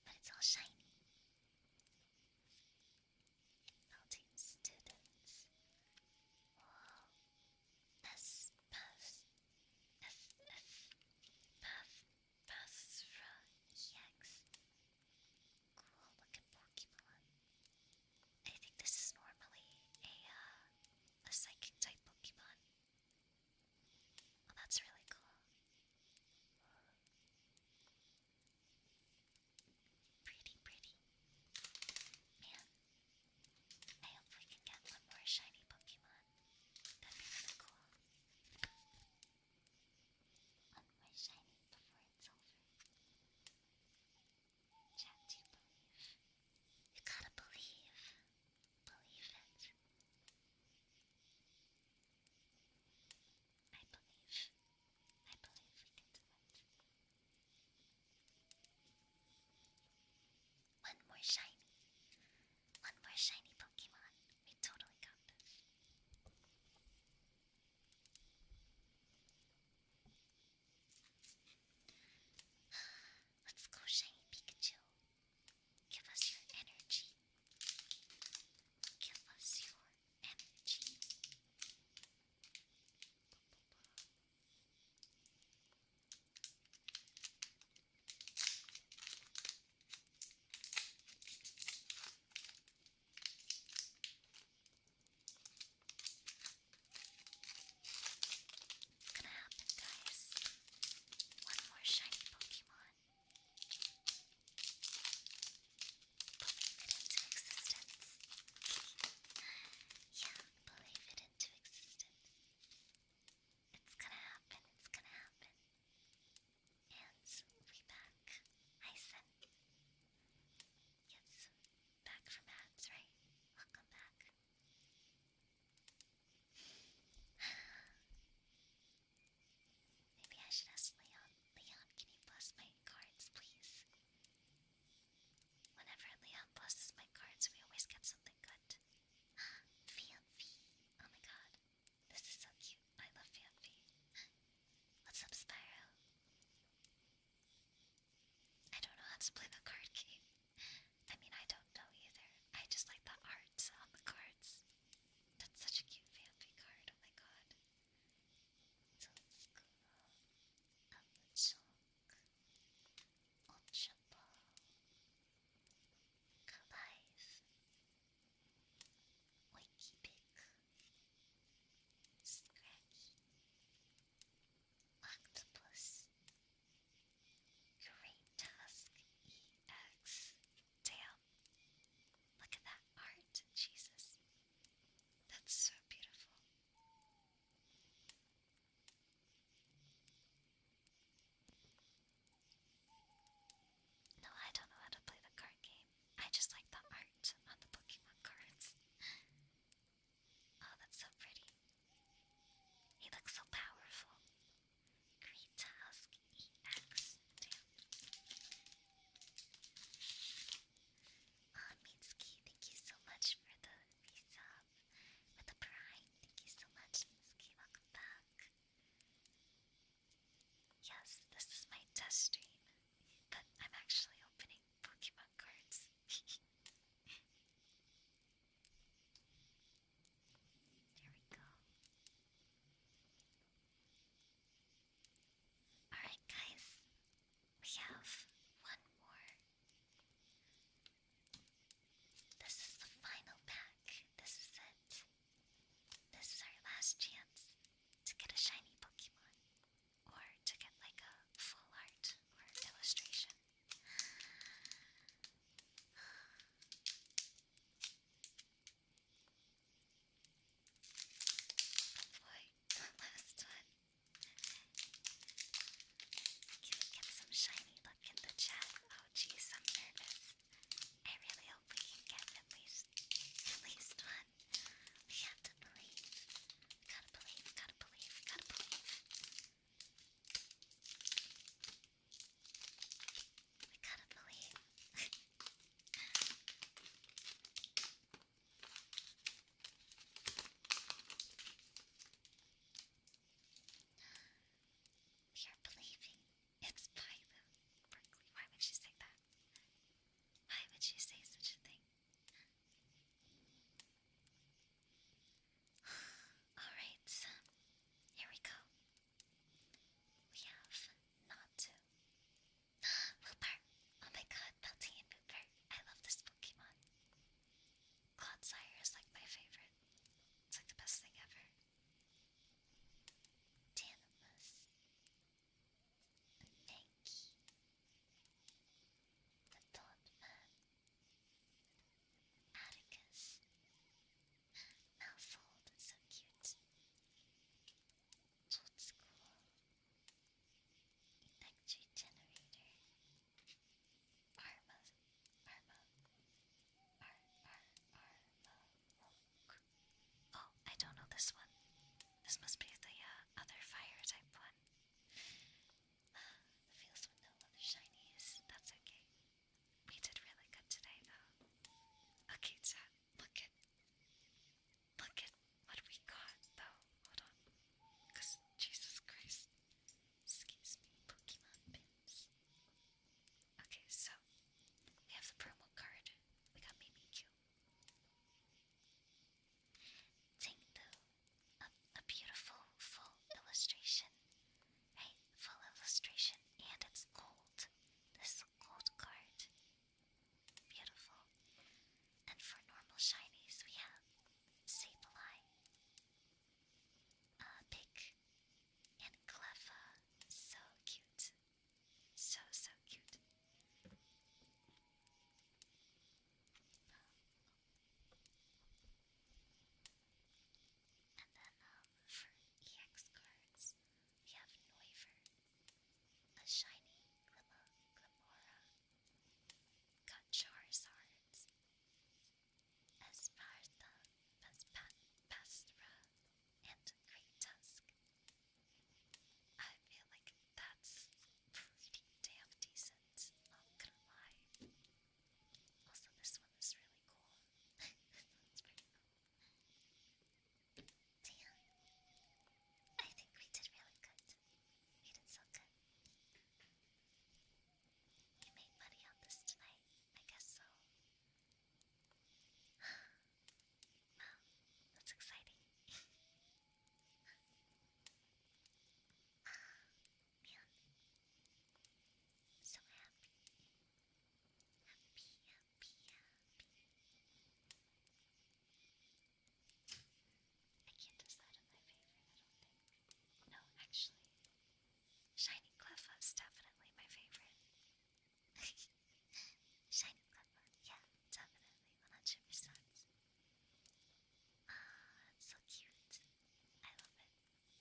but it's all shiny. Building students. Whoa. S puff. F F puff puff EX. Cool looking Pokemon. I think this is normally a a psychic type Pokemon. Oh, that's really cool. Pretty, pretty. Man, I hope we can get one more shiny Pokemon. That'd be really cool. One more shiny before it's over. Chat, do you believe? You gotta believe believe it. I believe. I believe we can do it. One more shiny. One more shiny Pokemon. We totally got this. Let's go, shiny Pikachu. Give us your energy. Give us your energy. It's gonna happen, guys. One more shiny Pokemon. Believe it into existence. Yeah, believe it into existence. It's gonna happen, it's gonna happen. And we back. Hi, son. Yes, back from abs, right? Welcome back. Maybe I should ask Leon. Leon, can you bless my cards, please? Whenever Leon blesses my cards, we always get something good. (gasps) Fianfi! Oh my god. This is so cute. I love Fianfi. (gasps) What's up, Spyro? I don't know how to play the card game. (laughs) I mean, I don't know either. I just like the arts on the cards. That's such a cute fanfic card, oh my god. Wakey Pick Scraggy Octopus Great Tusk EX Damn. Look at that art, Jesus. That's so beautiful. No, I don't know how to play the card game. I just like the art on the Pokemon cards. (laughs) oh, that's so pretty. He looks so powerful. Great Task EX. Oh, Mitsuki, thank you so much for the resub. For the prime, thank you so much, Mitsuki. Welcome back. Yes, this is my test stream, but (laughs) I'm actually opening Pokemon cards. (laughs) There we go. Alright, guys, we have one more. This is the final pack. This is it. This is our last chance to get a shiny Pokemon or to get like a full art or illustration boy, last one. Can we get some shiny look in the chat? Oh geez, I'm nervous. I really hope we can get at least at least one. We have to believe. Gotta believe, gotta believe, gotta believe. I gotta believe. we are believing. It's by Berkeley. Why would she say that? Why would she say such a thing? Alright, here we go. We have not Wooper! Oh my god, Belty and Wooper. I love this Pokemon. Clodsire is like my favorite. It's like the best thing ever. Tanamus. Mankey. The Thought Man. Mouthfold, so cute. Old school. Electric generator. Arma. Arma. Ar, arma. Oh, I don't know this one. This must be the other fire type one. Uh, the fields with That's okay. You did really good today, though. Okay, chat, look at, look at what we got, though. Hold on, cause Jesus Christ, excuse me, Pokemon pins. Okay, so we have the promo card. We got Mimikyu. Tingdu, a, a beautiful full illustration, right? Full illustration, and it's gold. This gold card. Beautiful. And for normal shinies, we have Sableye, uh, Pick, and Cleffa. So cute. So, so cute. And then uh, for EX cards, we have Noivern, a shiny Glimmer, Glimora, got Charizard, Esparta, Pespat, Pastra, and Great Tusk. I feel like that's pretty damn decent, not gonna lie. Also, this one is really cool. (laughs) So I think we did really good. We did so good. You made money on this tonight, I guess so. (sighs) that's exciting. (sighs) so Happy, happy, happy. I can't decide on my favorite, No, actually. Shiny Cleffa's definitely my favorite. (laughs) Shiny Cleffa, yeah, definitely, 100%. Ah, oh, it's so cute. I love it.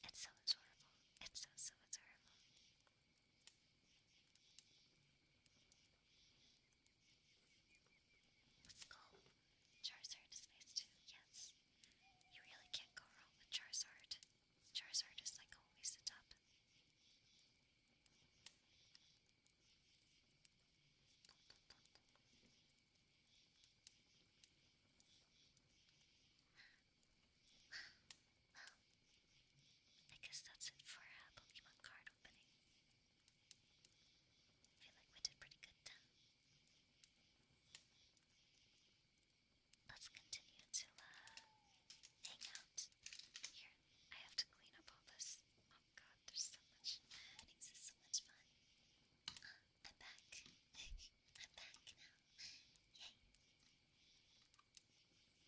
It's so adorable. It's so, so adorable. Let's go. Charizard is nice too, yes. You really can't go wrong with Charizard. Charizard is like always the top. Well, I guess that's it for Pokemon card opening. I feel like we did pretty good Let's continue to uh, hang out. Here, I have to clean up all this. Oh god, there's so much. This is so much fun. I'm back. (laughs) I'm back now. Yay. Well, that was fun.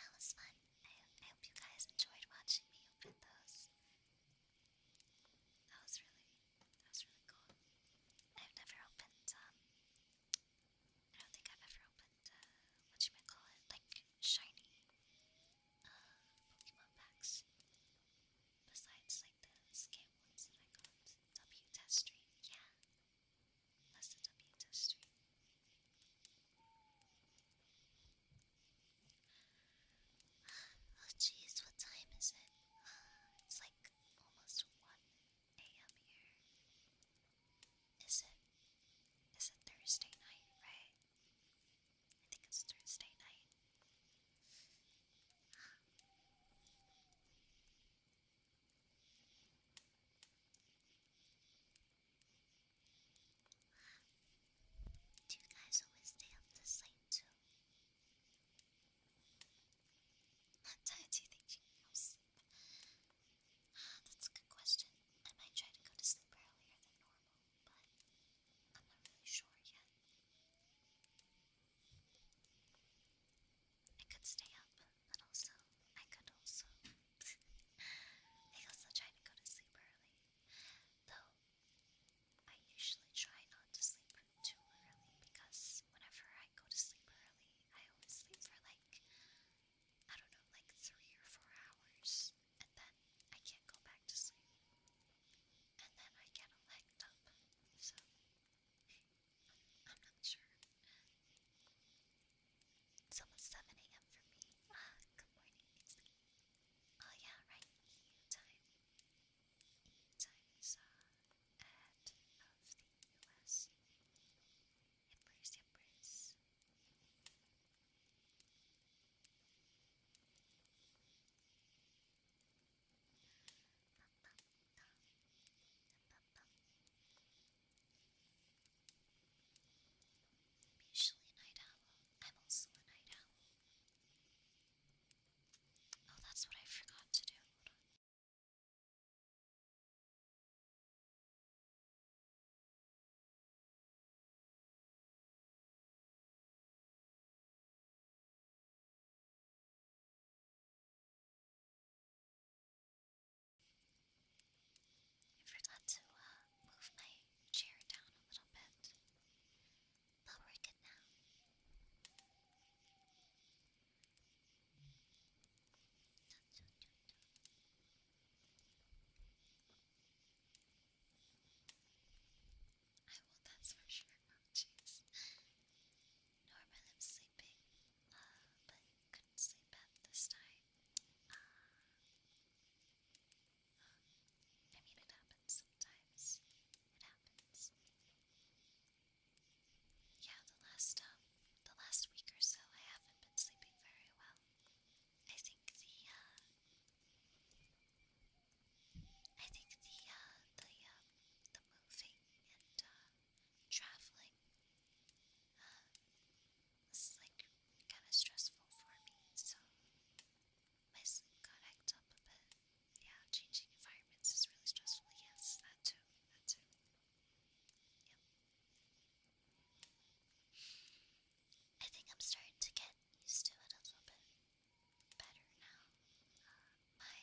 that was fun. I, I hope you guys enjoyed watching me open those that was really, that was really cool. I've never opened, um, I don't think I've ever opened, uh, what you might call it, like shiny, uh, Pokemon packs. Besides, like the scam ones that I got, W test stream, yeah. That's the W test stream. Oh jeez, what time is it? Uh, it's like almost 1 a.m. here. Is it? Is it Thursday night, right? I think it's Thursday night. Do you guys always stay up this late too? Not tired, do you think you can go that's a good question. I might try to go to sleep earlier than normal, but I'm not really sure yet. I could stay up, but also I could also I also try to go to sleep early. Though I usually try not to sleep too early because whenever I go to sleep early, I always sleep for like, I don't know, like three or four hours, and then I can't go back to sleep. And then I get legged up, so I'm, not sure. It's almost 7 a.m. for me. Ah, good morning, it's Oh yeah, right, time. Time ahead uh, of the US. Embrace, embrace. I'm usually a night owl. I'm also a night owl. Oh, that's what I forgot to do. I forgot to uh, move my chair down a little bit. But we're good now. I will, that's for sure. Oh, Normally sleeping, uh, but couldn't sleep at this time. Uh, I mean, it happens sometimes. It happens. Yeah, the last um, the last week or so, I haven't been sleeping very well. I think the uh, I think the uh, the um, the moving and uh, traveling uh, is like kind of stressful for me. So my sleep got hacked up a bit. Yeah, changing environments is really stressful. Yes, that too. That too. Yep. I think I'm starting to get used to it a little bit better now. Uh, my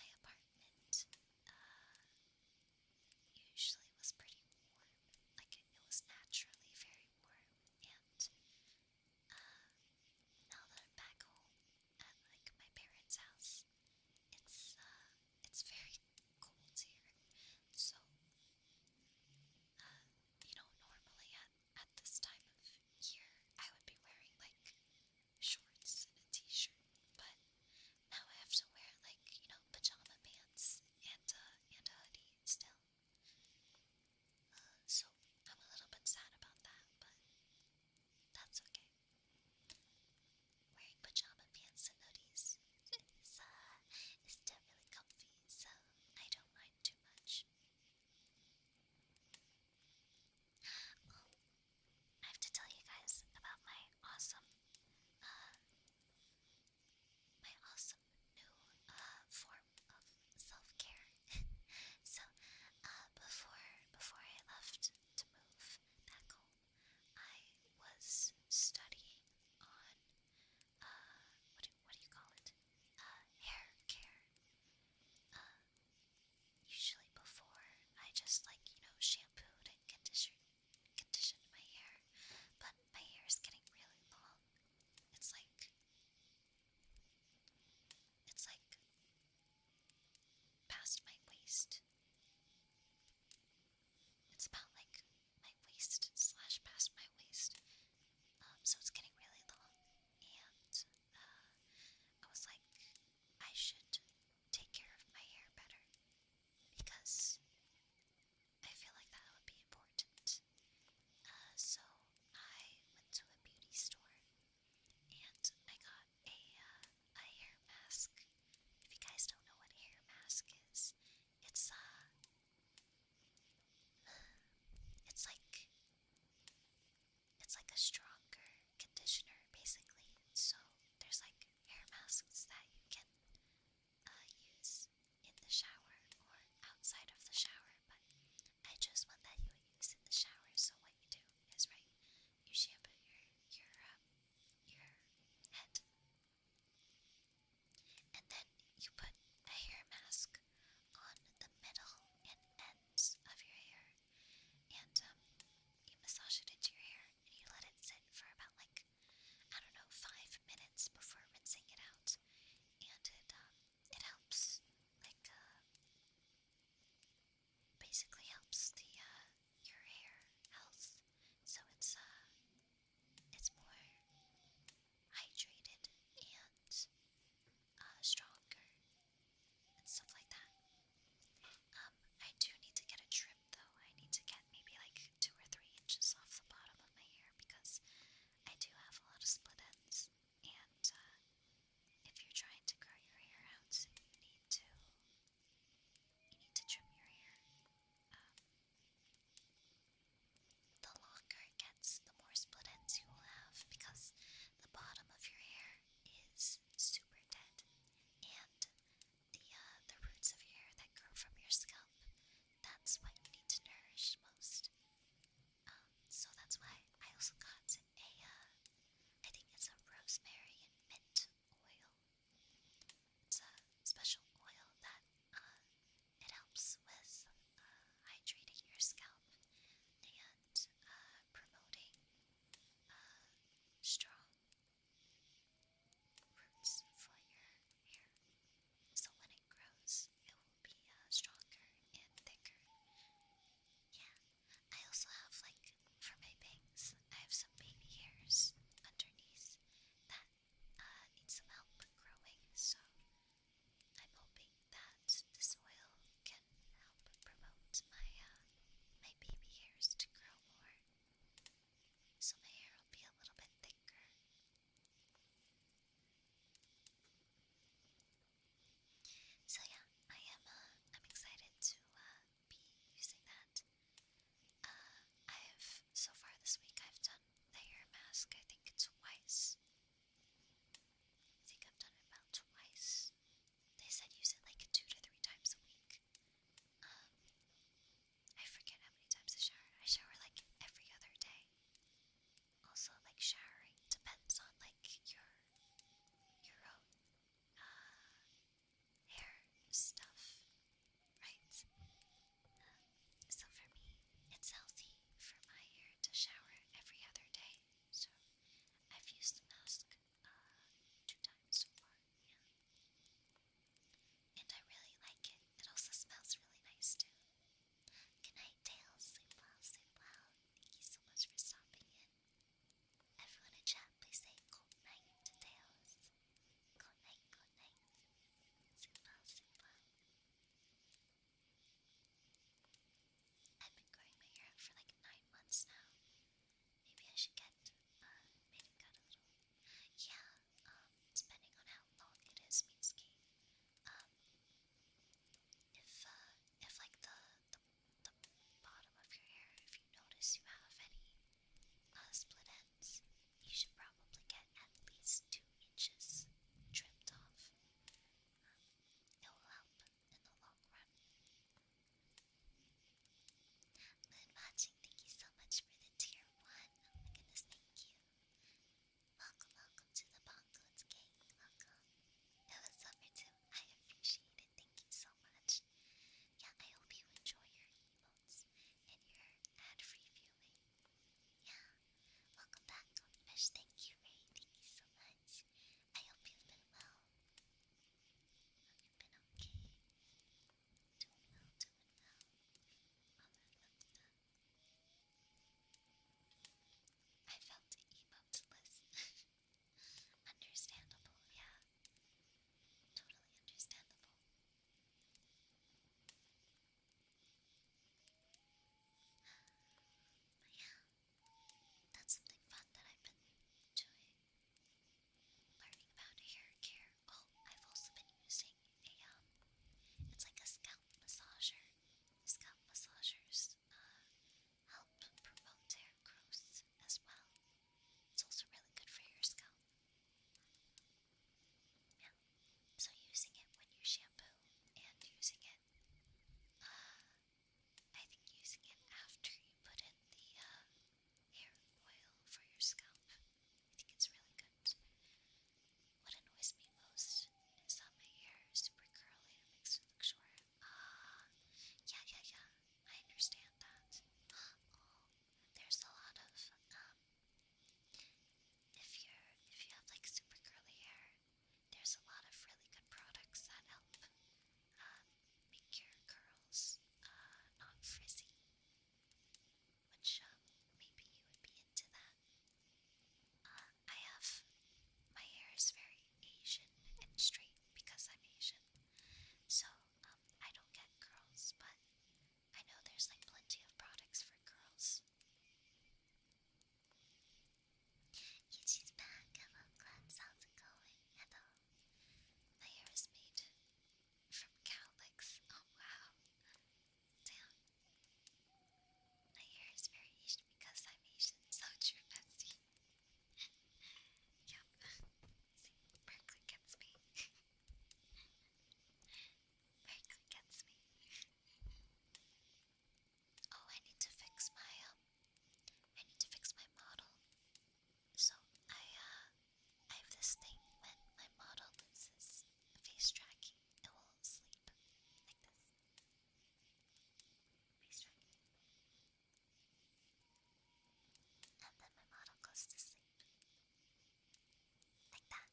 my apartment uh, usually was pretty warm. Like it, it was naturally very warm, and uh, now that I'm back home at like my parents' house, it's uh, it's very cold here. So, uh, you know, normally at at this time of year, I would be wearing like shorts and a t-shirt, but now I have to wear like you know pajama pants and uh, and a hoodie still so I'm a little bit sad about that, but that's okay. Wearing pajama pants and hoodies is, uh, definitely comfy, so I don't mind too much. Um, I have to tell you guys about my awesome, uh, my awesome new uh, form of self-care. (laughs) so uh, before before I left to move back home, I was studying on uh, what do what do you call it? Uh, hair care. Um, usually before I just like you know shampooed and conditioned conditioned my hair, but my hair is getting really long. It's like it's like past my waist. It's about like my waist slash past my waist. Um, so it's getting really long, and uh, I was like, I should take care of my hair better because I feel like that would be important. Uh, so I went to a beauty store and I got a, uh, a hair mask. If you guys don't know what hair mask is, it's, uh, it's like, it's like a stronger conditioner, basically. So there's like hair masks that you can uh, use in the shower or outside of the shower, but I just want that you would use in the shower. So what you do is right, you shampoo your your uh, your head, and then you put a hair mask on the middle and ends of your hair, and um, you massage it into your hair, and you let it sit for about like I don't know five minutes before rinsing it out, and it um, it helps, like, uh, basically helps the, uh, your hair health, so it's, uh, it's more hydrated and, uh, stronger and stuff like that. Um, I do need to get a trim though. I need to get maybe like two or three inches off the bottom of my hair because I do have a lot of split ends. And uh, if you're trying to grow your hair out, you need to you need to trim your hair. Um, the longer it gets, the more split ends you will have because the bottom of your hair is super dead, and the uh, the roots of your hair that grow from your scalp. That's what you need to nourish most so that's why I also got a, uh, I think it's a rosemary and mint oil. It's a special oil that, uh, it helps with, uh, hydrating your scalp and, uh, promoting, strong roots for your hair. So when it grows, be uh, stronger and thicker. Yeah, I also have like for my bangs, I have some baby hairs underneath that uh, need some help growing. So I'm hoping that the soil can help promote my uh, my baby hairs to grow more, so my hair will be a little bit thicker. So yeah, I am. Uh, I'm excited to uh, be using that. Uh, I've so far this week I've done the hair mask. I think twice. I think I've done it about twice. They said use it like two to three times a week. Um, I forget how many times I shower. I shower like every other day also like showering depends on like your your own uh, hair stuff, right? Um, so for me, it's healthy for my hair to shower every other day. So I've used the mask uh, two times so far, yeah. And I really like it. It also smells really nice too. Good night, Tails. Sleep well, sleep well. Thank you so much for stopping in. Everyone in chat, please say good night to Tails. Good night, good night. Super, super. I've been growing my hair for like nine months now. Maybe I should get uh, made cut a Yeah, um, depending on how long it is, Mitsuki. Um, if uh, if like the the bottom of your hair if you notice you have any split ends. You should probably get at least two inches trimmed off. Um, it will help in the long run. Good watching, thank you so much for the tier one. Oh my goodness, thank you. Welcome, welcome to the Bongo's gang. Welcome. It was over too. I appreciate it. Thank you so much. Yeah, I hope you enjoy your emotes and your ad-free Yeah. Welcome back, Goldfish. Thank you, Ray. Thank you so much. I hope you've been well. you've been okay. Doing well, doing well. I felt emoteless. (laughs) Understandable, yeah. Totally understandable. But yeah, that's something fun that I've been doing. Learning about hair care. Oh, I've also been using a, um, it's like a scalp massager. Scalp massagers help promote hair growth as well. It's also really good for your scalp. So using it when you shampoo and using it, uh, I think using it after you put in the uh, hair oil for your scalp, I think it's really good. What annoys me most is that my hair is super curly and makes me look short. Uh, yeah, yeah, yeah. I understand that. Um, there's a lot of um. If you if you have like super curly hair, there's a lot of really good products that help um, make your curls uh, not frizzy. Which um, maybe you would be into that. Uh, I have my hair is very Asian and straight because I'm Asian. So, um, I don't get curls, but I know there's like plenty of products for curls. Yuji's back. Hello, Glenn. How's going? Hello. My hair is made from cowlicks. Oh, wow. Damn. My hair is very Asian because I'm Asian. So true, bestie yep. See, gets me. Berkeley gets me. Oh, I need to fix my um, I need to fix my model. So I uh, I have this thing when my model loses face tracking, it will sleep like this. Face tracking. And then my model goes to sleep. Like that.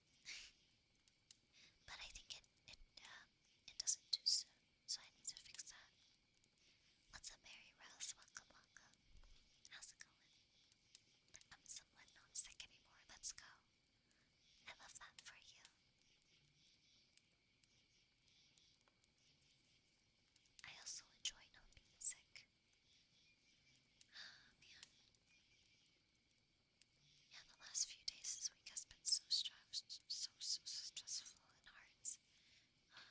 but I think it it uh, it doesn't do so, so I need to fix that. What's up, Mary Rose? Welcome, welcome. How's it going? I'm somewhat not sick anymore. Let's go. I love that for you. I also enjoy not being sick. Ah, man. Yeah, the last few days this week has been so stressful, so, so, stressful and hard. Ah.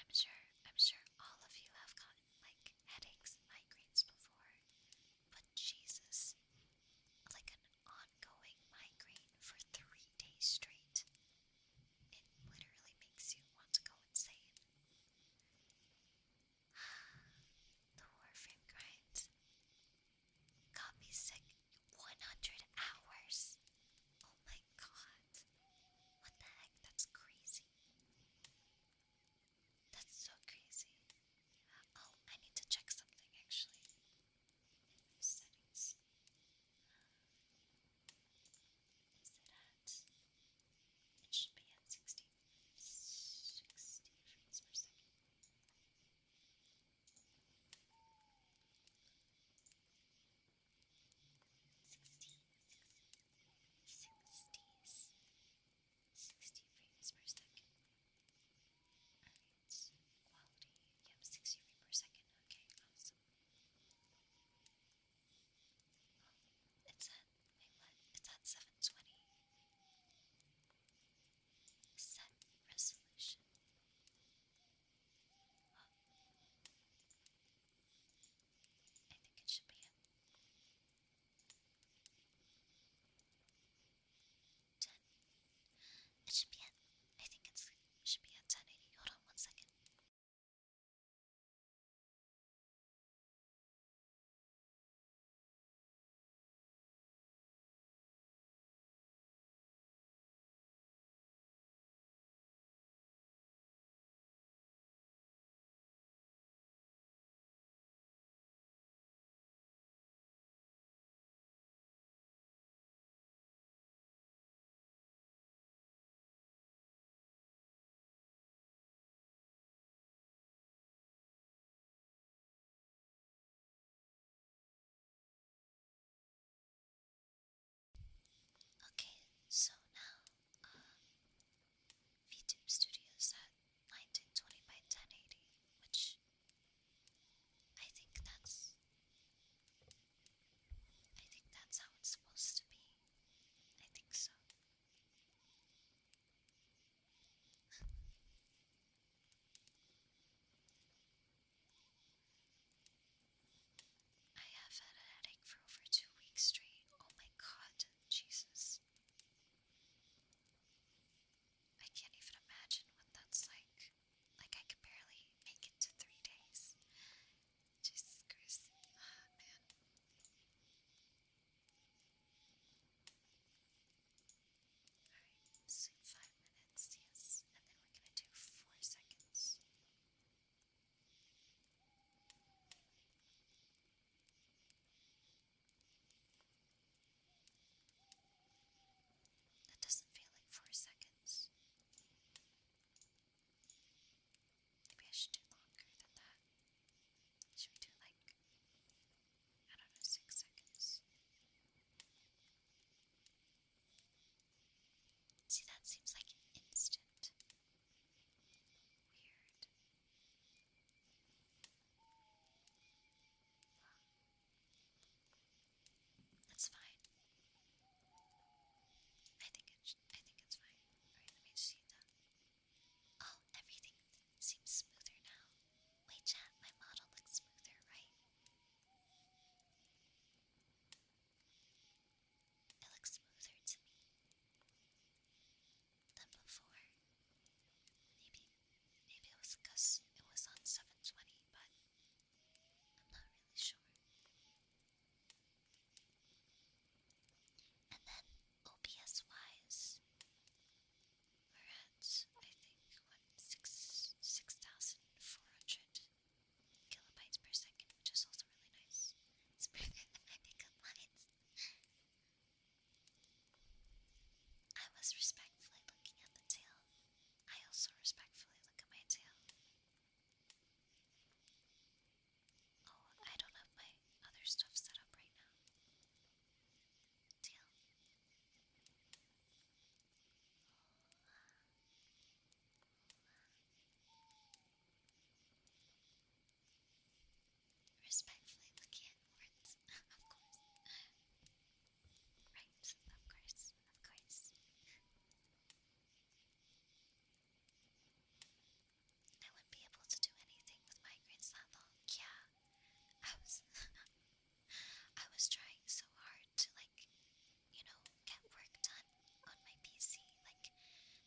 I'm sure, I'm sure all of you have gotten like headaches and migraines before, but Jesus, like an ongoing migraine for three days straight. It literally makes you want to go insane. (sighs) the Warframe grind got me sick 100 hours. Oh my god. What the heck? That's crazy. That's so crazy. Oh, I need to check something actually settings is that it should be at 60, 60 frames per second. Sixty, sixties, sixty frames per second. Quality, yep, 60 per second. Okay, awesome. it's at, what? It's at 720. Set resolution. I think it should be 10. It should be at, I think it should be at 10 Hold on one second. Okay, so now um, VTube Studios at 1920 by 1080, which I think that's I think that's how it's supposed to be. I think so. I have had a headache for over two weeks straight. Oh my god, Jesus. I can't even imagine what that's like. Like I could barely make it to three days. Jesus man. Alright, sleep five minutes, yes, and then we're gonna do four seconds. That doesn't feel like four seconds. Maybe I should do longer than that. Should we do like, I don't know, six seconds? See, that seems like instant. Weird. That's fine. I think it. I think it's fine. Alright, let me see that. Oh, everything seems smoother now. Wait, chat. My model looks smoother, right? It looks smoother to me than before. Maybe, maybe it was because it was on 720, but I'm not really sure. And then OBS wise, we're at I think what six six thousand four hundred kilobytes per second, which is also really nice. It's bigger than lines. I was respectfully looking at the tail. I also respectfully look at my tail. Oh, I don't have my other stuff set up right now. Deal. Respectfully looking (laughs) at of course. Right, of course, of course. I wouldn't be able to do anything with migraines that long. Yeah, I was, (laughs) I was trying so hard to like, you know, get work done on my PC, like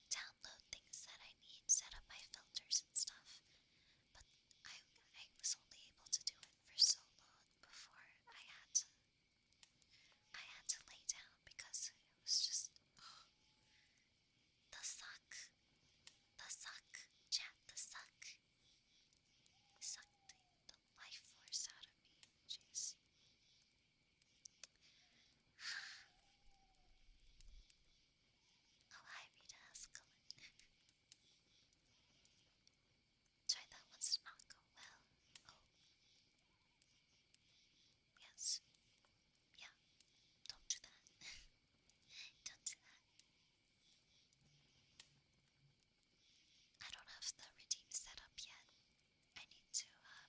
download things that I need, set up my filters and stuff. But I, I was only able to do it for so long before I had to I had to lay down because it was just the suck, the suck, chat, the suck, sucked the, life force out of me. Jeez. (sighs) oh hi, Rita Escalin. Try that once, did not go well. Yes. Yeah. Don't that. (laughs) don't that. I don't have the redeem set up yet. I need to, uh,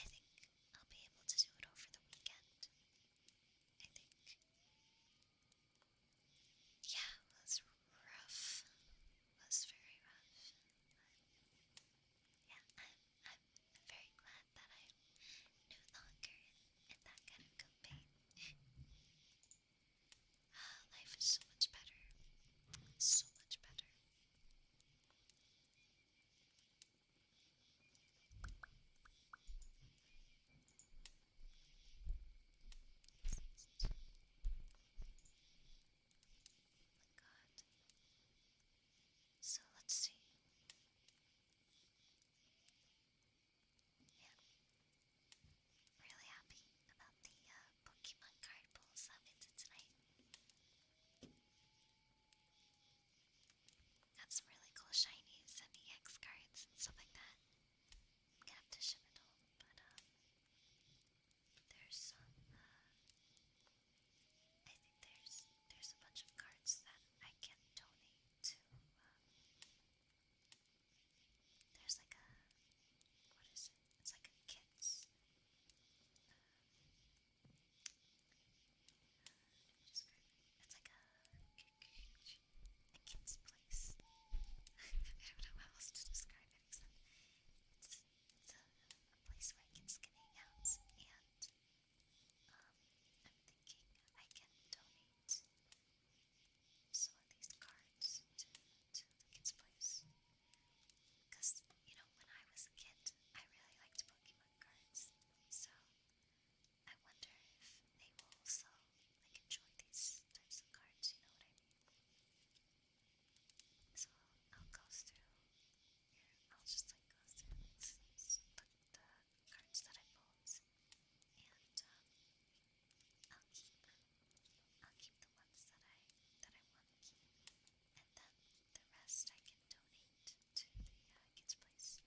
I think I'll be able to do it over the weekend. I think. Yeah, let's rough. It was very rough. yeah, I'm, I'm very glad that I'm no longer in, that kind of campaign. Ah, life is so much better. So much better. Oh so let's see. Yeah. Really happy about the uh, Pokemon card pulls i into tonight. Got some really cool shinies and EX cards and stuff like that. gonna have to ship it home, but uh, there's some. Uh, I think there's there's a bunch of cards that I can donate to. Um, there's like a what is it? It's like a kids. It's like a kid's place. (laughs) I don't know how else to describe it a place where I can skin hangouts, and um, I'm thinking I can donate some of these cards to the kids' place. Because, you know, when I was a kid, I really liked Pokemon cards, so I wonder if they will also like enjoy these types of cards, you know what I mean? So I'll go through I'll just like go through the cards that I pulled, and um, I'll keep I'll keep the ones that I that I want to keep, and then the rest I can donate to the uh, kids' place.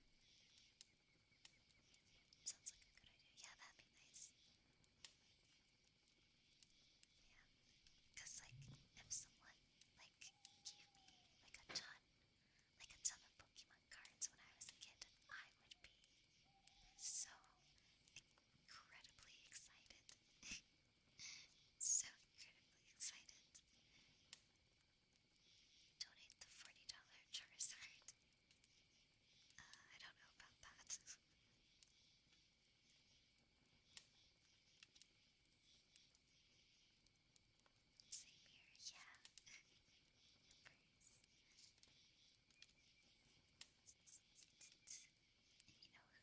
Sounds like a good idea. Yeah, that'd be nice. Yeah, because like if someone like gave me like a ton, like a ton of Pokemon cards when I was a kid, I would be so incredibly excited. (laughs) so incredibly excited. Donate the $40 Charizard. Uh, I don't know about that. (laughs) Same here, yeah. you who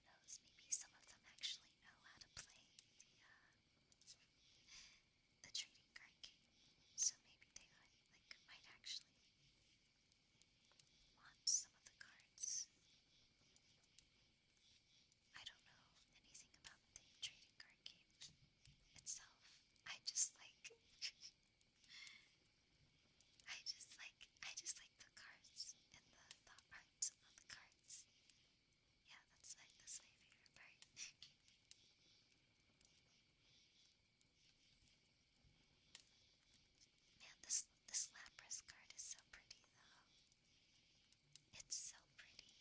knows? Maybe some of them actually know how to play the, uh, trading card game. So maybe they like, might actually want some of the cards. I don't know anything about the trading card game itself. I just like (laughs) I just like I just like the cards and the, the art the cards. Yeah, that's like that's favorite part. (laughs) Man, this this Lapras card is so pretty though. It's so pretty.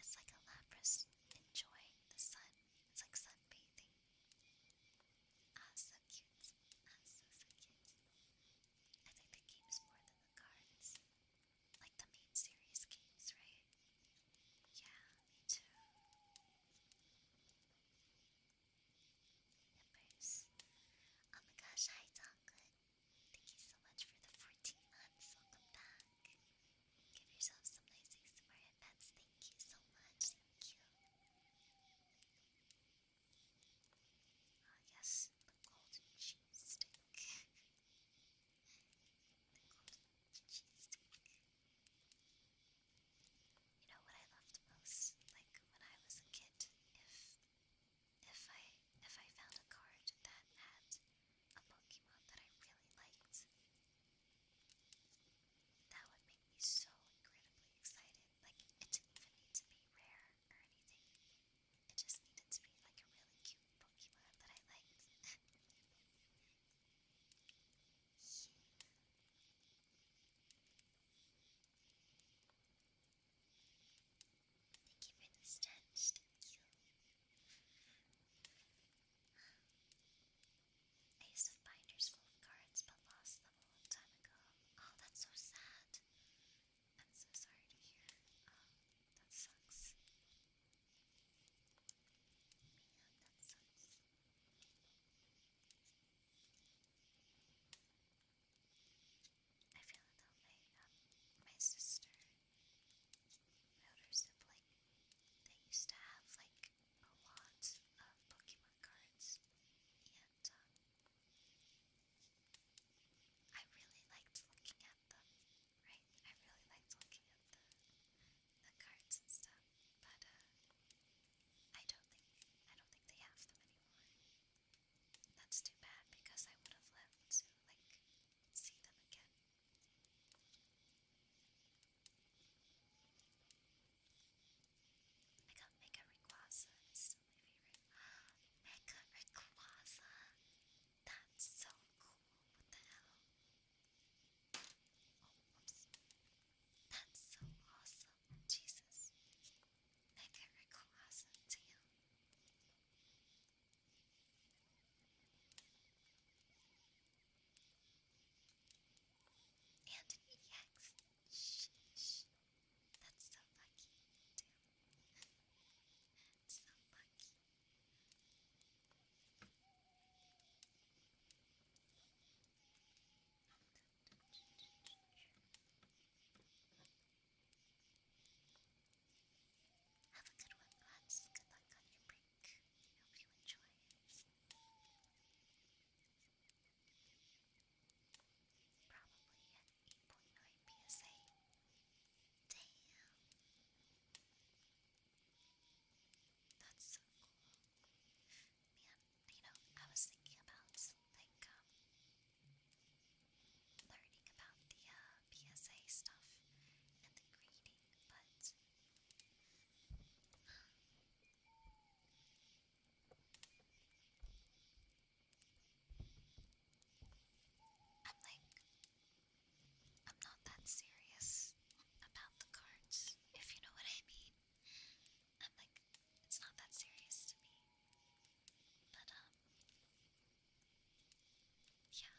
It's like a Lapras enjoying the sun. It's like sunbathing. Ah, so cute. Ah, so cute. I think the game's more than the cards. Like the main series games, right? Yeah, me too members. Oh my gosh, hi Donglin. Thank you so much for the 14 months. Welcome back. Give yourself some nice ASMR headbands. Thank you so much. Oh, yes, the golden cheese stick. (laughs) the golden cheese stick. You know what I loved most, like when I was a kid, if if I if I found a card that had a Pokemon that I really liked, that would make me so incredibly excited. Like it didn't even need to be rare or anything. It just needed to be like a really cute Pokemon that I liked. (laughs) Thank you for this dance. thank you. I used binders full of cards but lost them a long time ago. Oh, that's so sad. I'm so sorry to hear. that sucks. that sucks. I feel like um, my sister, my older sibling, they used to have like a lot of Pokemon cards, and um, I really liked looking at them, right? I really liked looking at the, the cards and stuff, but uh, I don't think I don't think they have them anymore. That's too bad because I would have loved to like see them again. I got Mega Rayquaza. It's still my favorite. (gasps) Mega Rayquaza. That's so cool. What the hell? Oh, That's so awesome. Jesus. Mechanical lesson to you. And yes, shh, shh. That's so lucky, too. so lucky. Have a good one, lads. Good luck on your break. Hope you enjoy. Probably at 8.9 PSA. Damn. That's so cool. Man, you know, I was thinking about like um, learning about the uh, PSA stuff and the grading, but um, I'm like, I'm not that serious about the cards, if you know what I mean. I'm like, it's not that serious to me. But, um, yeah.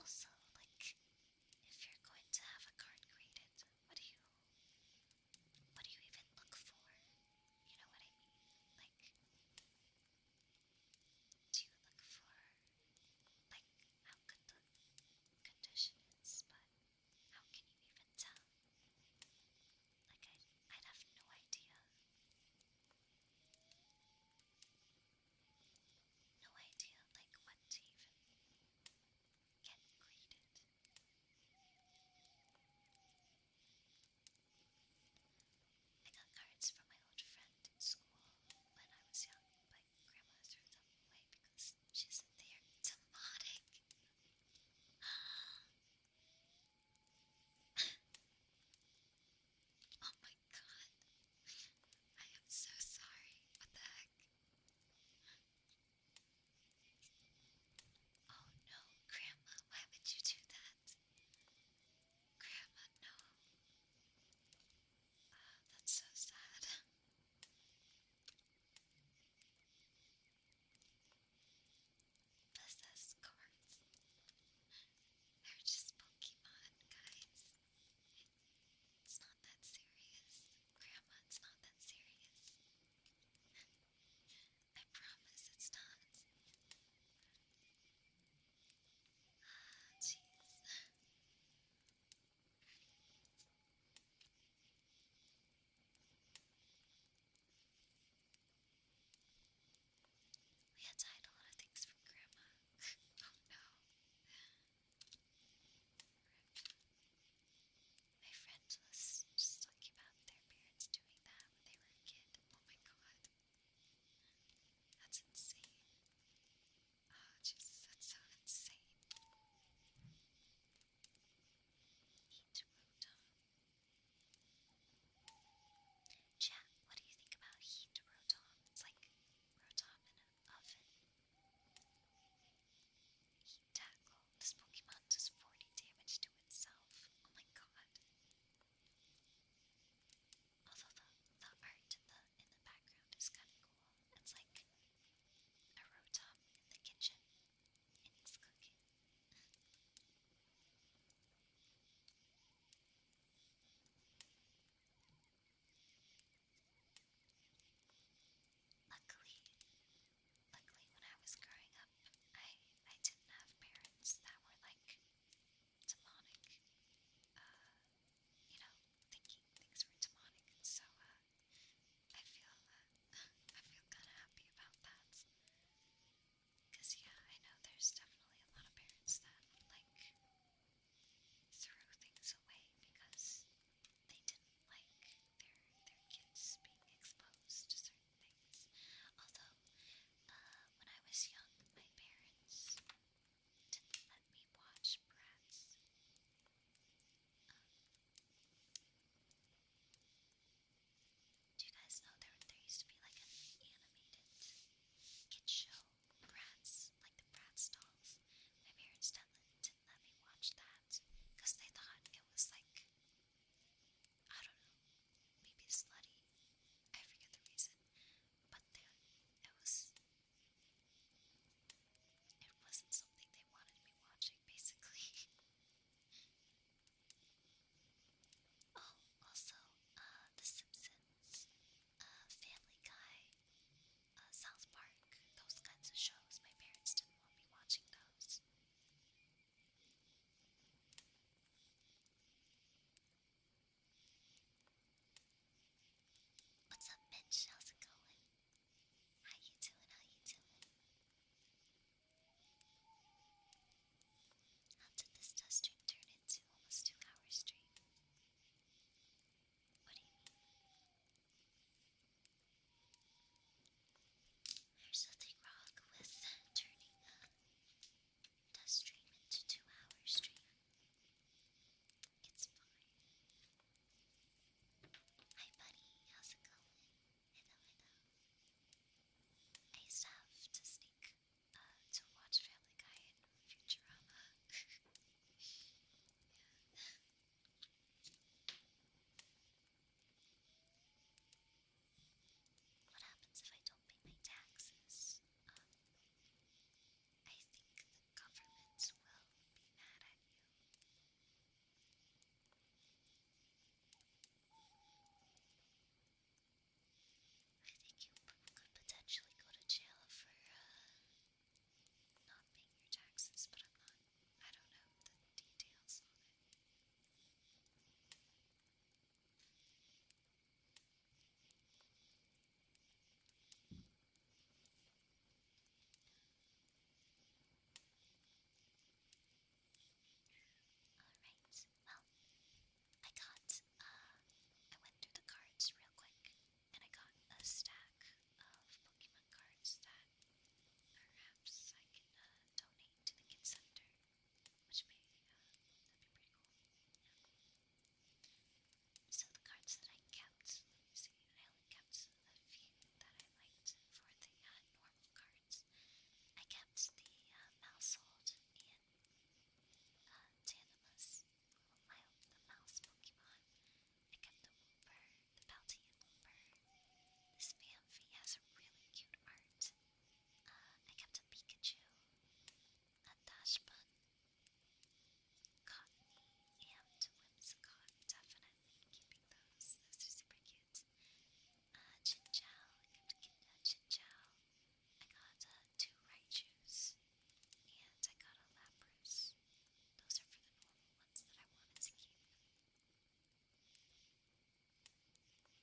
Also, like, if you're going to have a card created, what do you, what do you even look for? You know what I mean? Like, do you look for, like, how good the condition is, but how can you even tell? Like, i i have no idea. No idea, like, what to even get graded. I got cards from my old friend at school when I was young, but Grandma threw them away because she said they oh my god. I am so sorry. What the heck? Oh no, Grandma, why would you do that? Grandma, no. Oh, that's so sad possess cards. They're just Pokemon, guys. It's not that serious. Grandma, it's not that serious. I promise it's not. Ah, jeez. We had to hide a lot of things from Grandma. (laughs) oh no. My friend was just talking about their parents doing that when they were a Oh my god. That's insane. Oh Jesus, that's so insane. Chat, what do you think about heat rotom? It's like rotom in an oven. Heat tackle. This Pokemon does 40 damage to itself. Oh my god. Although the, the art the, in the background is kind of cool. It's like a rotom in the kitchen. And it's cooking. (laughs) Luckily, luckily when I was growing up, I I didn't have parents that were like demonic. Uh, you know, thinking things were demonic, so uh, I feel uh, (laughs) I feel kind of happy about that. Because, yeah, I know there's definitely a lot of parents that, like, threw things away because they didn't like their, their kids being exposed to certain things. Although, uh, when I was young, my parents didn't let me watch Bratz. Um, do you guys know there, there used to be like an animated kid show, Bratz, like the Bratz dolls? My parents did didn't let me watch that because they thought it was like, I don't know, maybe slutty. I forget the reason, but it was, it wasn't something they wanted me watching, basically. (laughs) Oh, also, uh, The Simpsons, uh, Family Guy, uh, South Park, those kinds of shows. My parents didn't want me watching those. What's up, Mitch? How's it going? How you doing? How you doing? How did this test stream turn into almost two hours straight? What do you mean? There's nothing wrong with turning a test stream into two hour stream. It's fine. Hi buddy, how's it going? I used to have to sneak to watch Family Guy and Futurama. (laughs) What happens if I don't pay my taxes? Um, I think the government will be mad at you. I think you could potentially go to jail for uh, not paying your taxes, but I'm not. I don't know the details on it. Alright, well, I got, uh, I went through the cards real quick, and I got a stack of Pokemon cards that perhaps I can uh, donate to the Kid Center, which may, uh, that'd be pretty cool. So the cards that I kept, you see, I only kept a few that I liked for the normal cards. I kept the uh, and uh, Tanimus, my, the mouse Pokemon. I kept the Wooper, the Paltean Wooper. This Famfi has a really cute art. Uh, I kept a Pikachu, a Dashbun, Cottony, and Whimsicott. Definitely keeping those. Those are super cute. Uh, I kept a Chin I got a two right and I got a Lapras. Those are for the normal ones that I wanted to keep.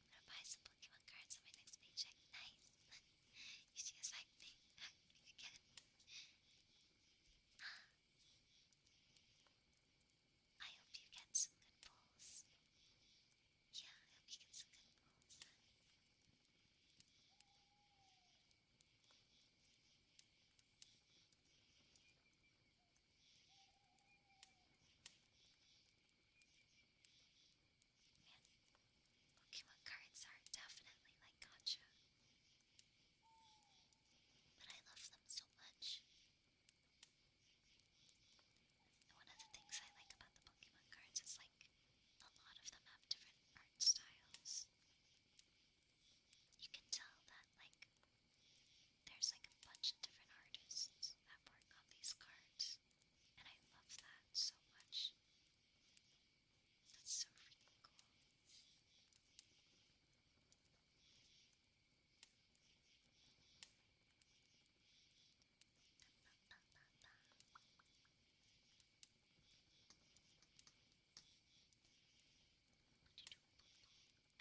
gonna buy some Pokemon cards on my next paycheck. Nice! (laughs) you see us like me again. I hope you get some good pulls. Yeah, I think it's a good pose. Man, Pokemon are definitely like gotcha. But I love them so much. And one of the things I like about the Pokemon cards is like a lot of them have different art styles. You can tell that like there's like a bunch of different artists that work on these cards. And I love that so much. That's so freaking cool.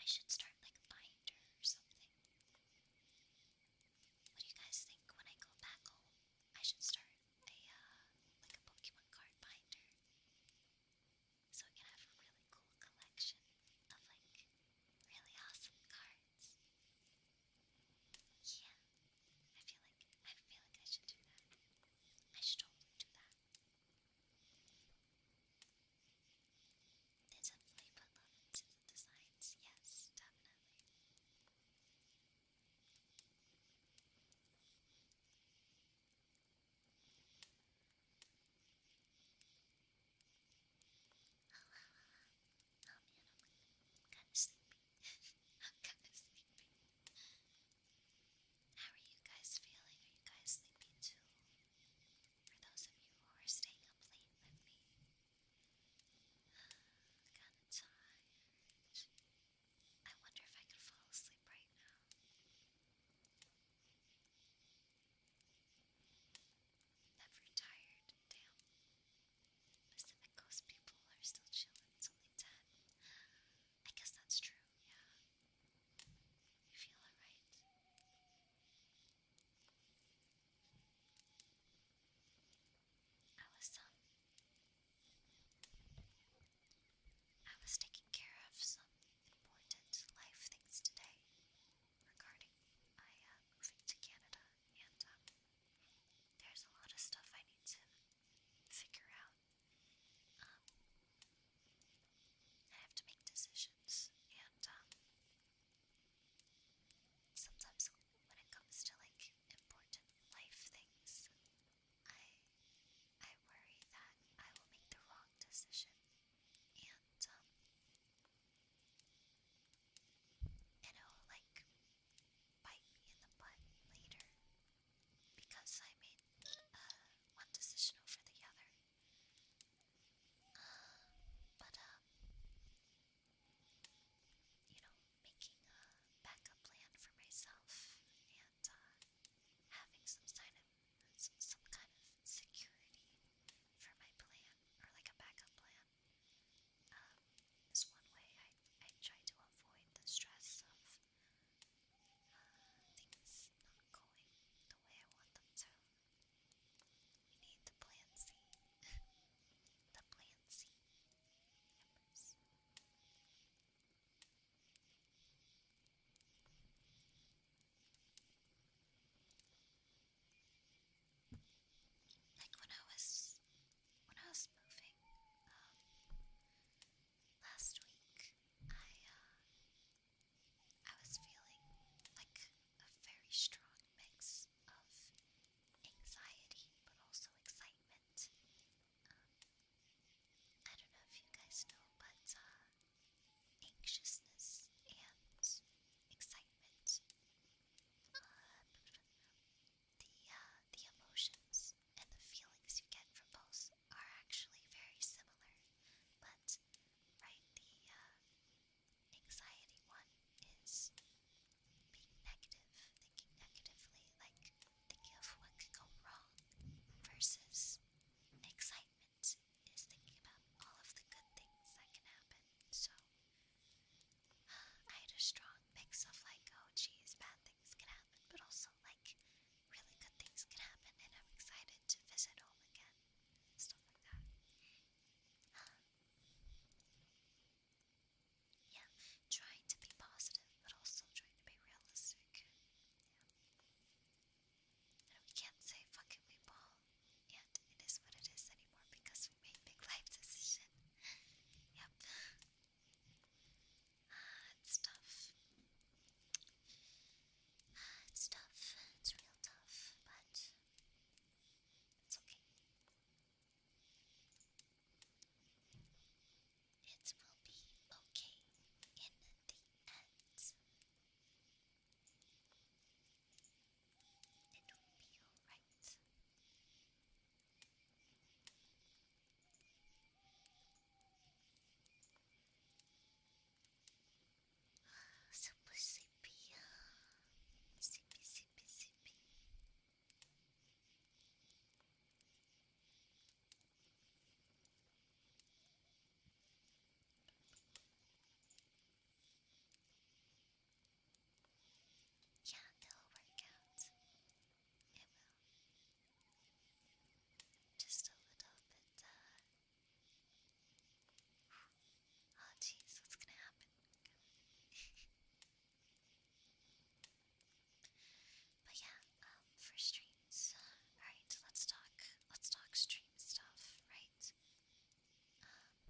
I should start like a binder or something. What do you guys think when I go back home? I should start a uh, like a Pokemon card binder. So we can have a really cool collection of like really awesome cards. Yeah, I feel like I feel like I should do that. I should totally do that. definitely put love into the designs, yes, definitely. (laughs) I'm kind of sleepy. I'm kind of sleepy. How are you guys feeling? Are you guys sleepy too? For those of you who are staying up late with me, kind of tired. I wonder if I could fall asleep right now. Never tired, damn. Pacific Coast people are still chilling. It's only 10. I guess that's true, yeah. You feel alright? I was, um, I was taking care of some important life things today regarding my uh, moving to Canada and, um, there's a lot of stuff I need to figure out. Um, I have to make decisions, and um, sometimes when it comes to like important life things, I I worry that I will make the wrong decision, and um, and like bite me in the butt later because I made uh, one decision over the other. Uh, but, uh, you know, making a backup plan for myself and having some kind of some kind of security for my plan or like a backup plan um, is one way I, I try to avoid the stress of uh, things not going the way I want them to. We need the plan C. (laughs) the plan C Like when I was when I was moving um, last week, I uh, I was feeling like a very strong mix of anxiety, but also excitement. Um, I don't know if you guys know, but uh, anxiousness and excitement. Uh, the uh, the emotions and the feelings you get from both are actually very similar, but right the uh, anxiety one is being negative, thinking negatively, like thinking of what could go wrong, versus excitement is thinking about all of the good things that can happen. So I had a strong mix of like, oh jeez, bad things can happen, but also like really good things can happen, and I'm excited to visit home again. Stuff like that. Um, yeah, trying to be positive, but also trying to be realistic. And we can't say fuck we ball, and it is what it is anymore because we made big life decision. (laughs) yep. Ah, it's tough. it's tough. It's real tough, but it's okay. It will be okay in the end. It will be alright. Super sleepy, sleepy, sleepy, sleepy. Yeah, they'll work out. Just a little bit, uh, Oh, jeez, what's gonna happen? (laughs) but yeah, um, for streams. Uh, alright, let's talk. Let's talk stream stuff, right? Um,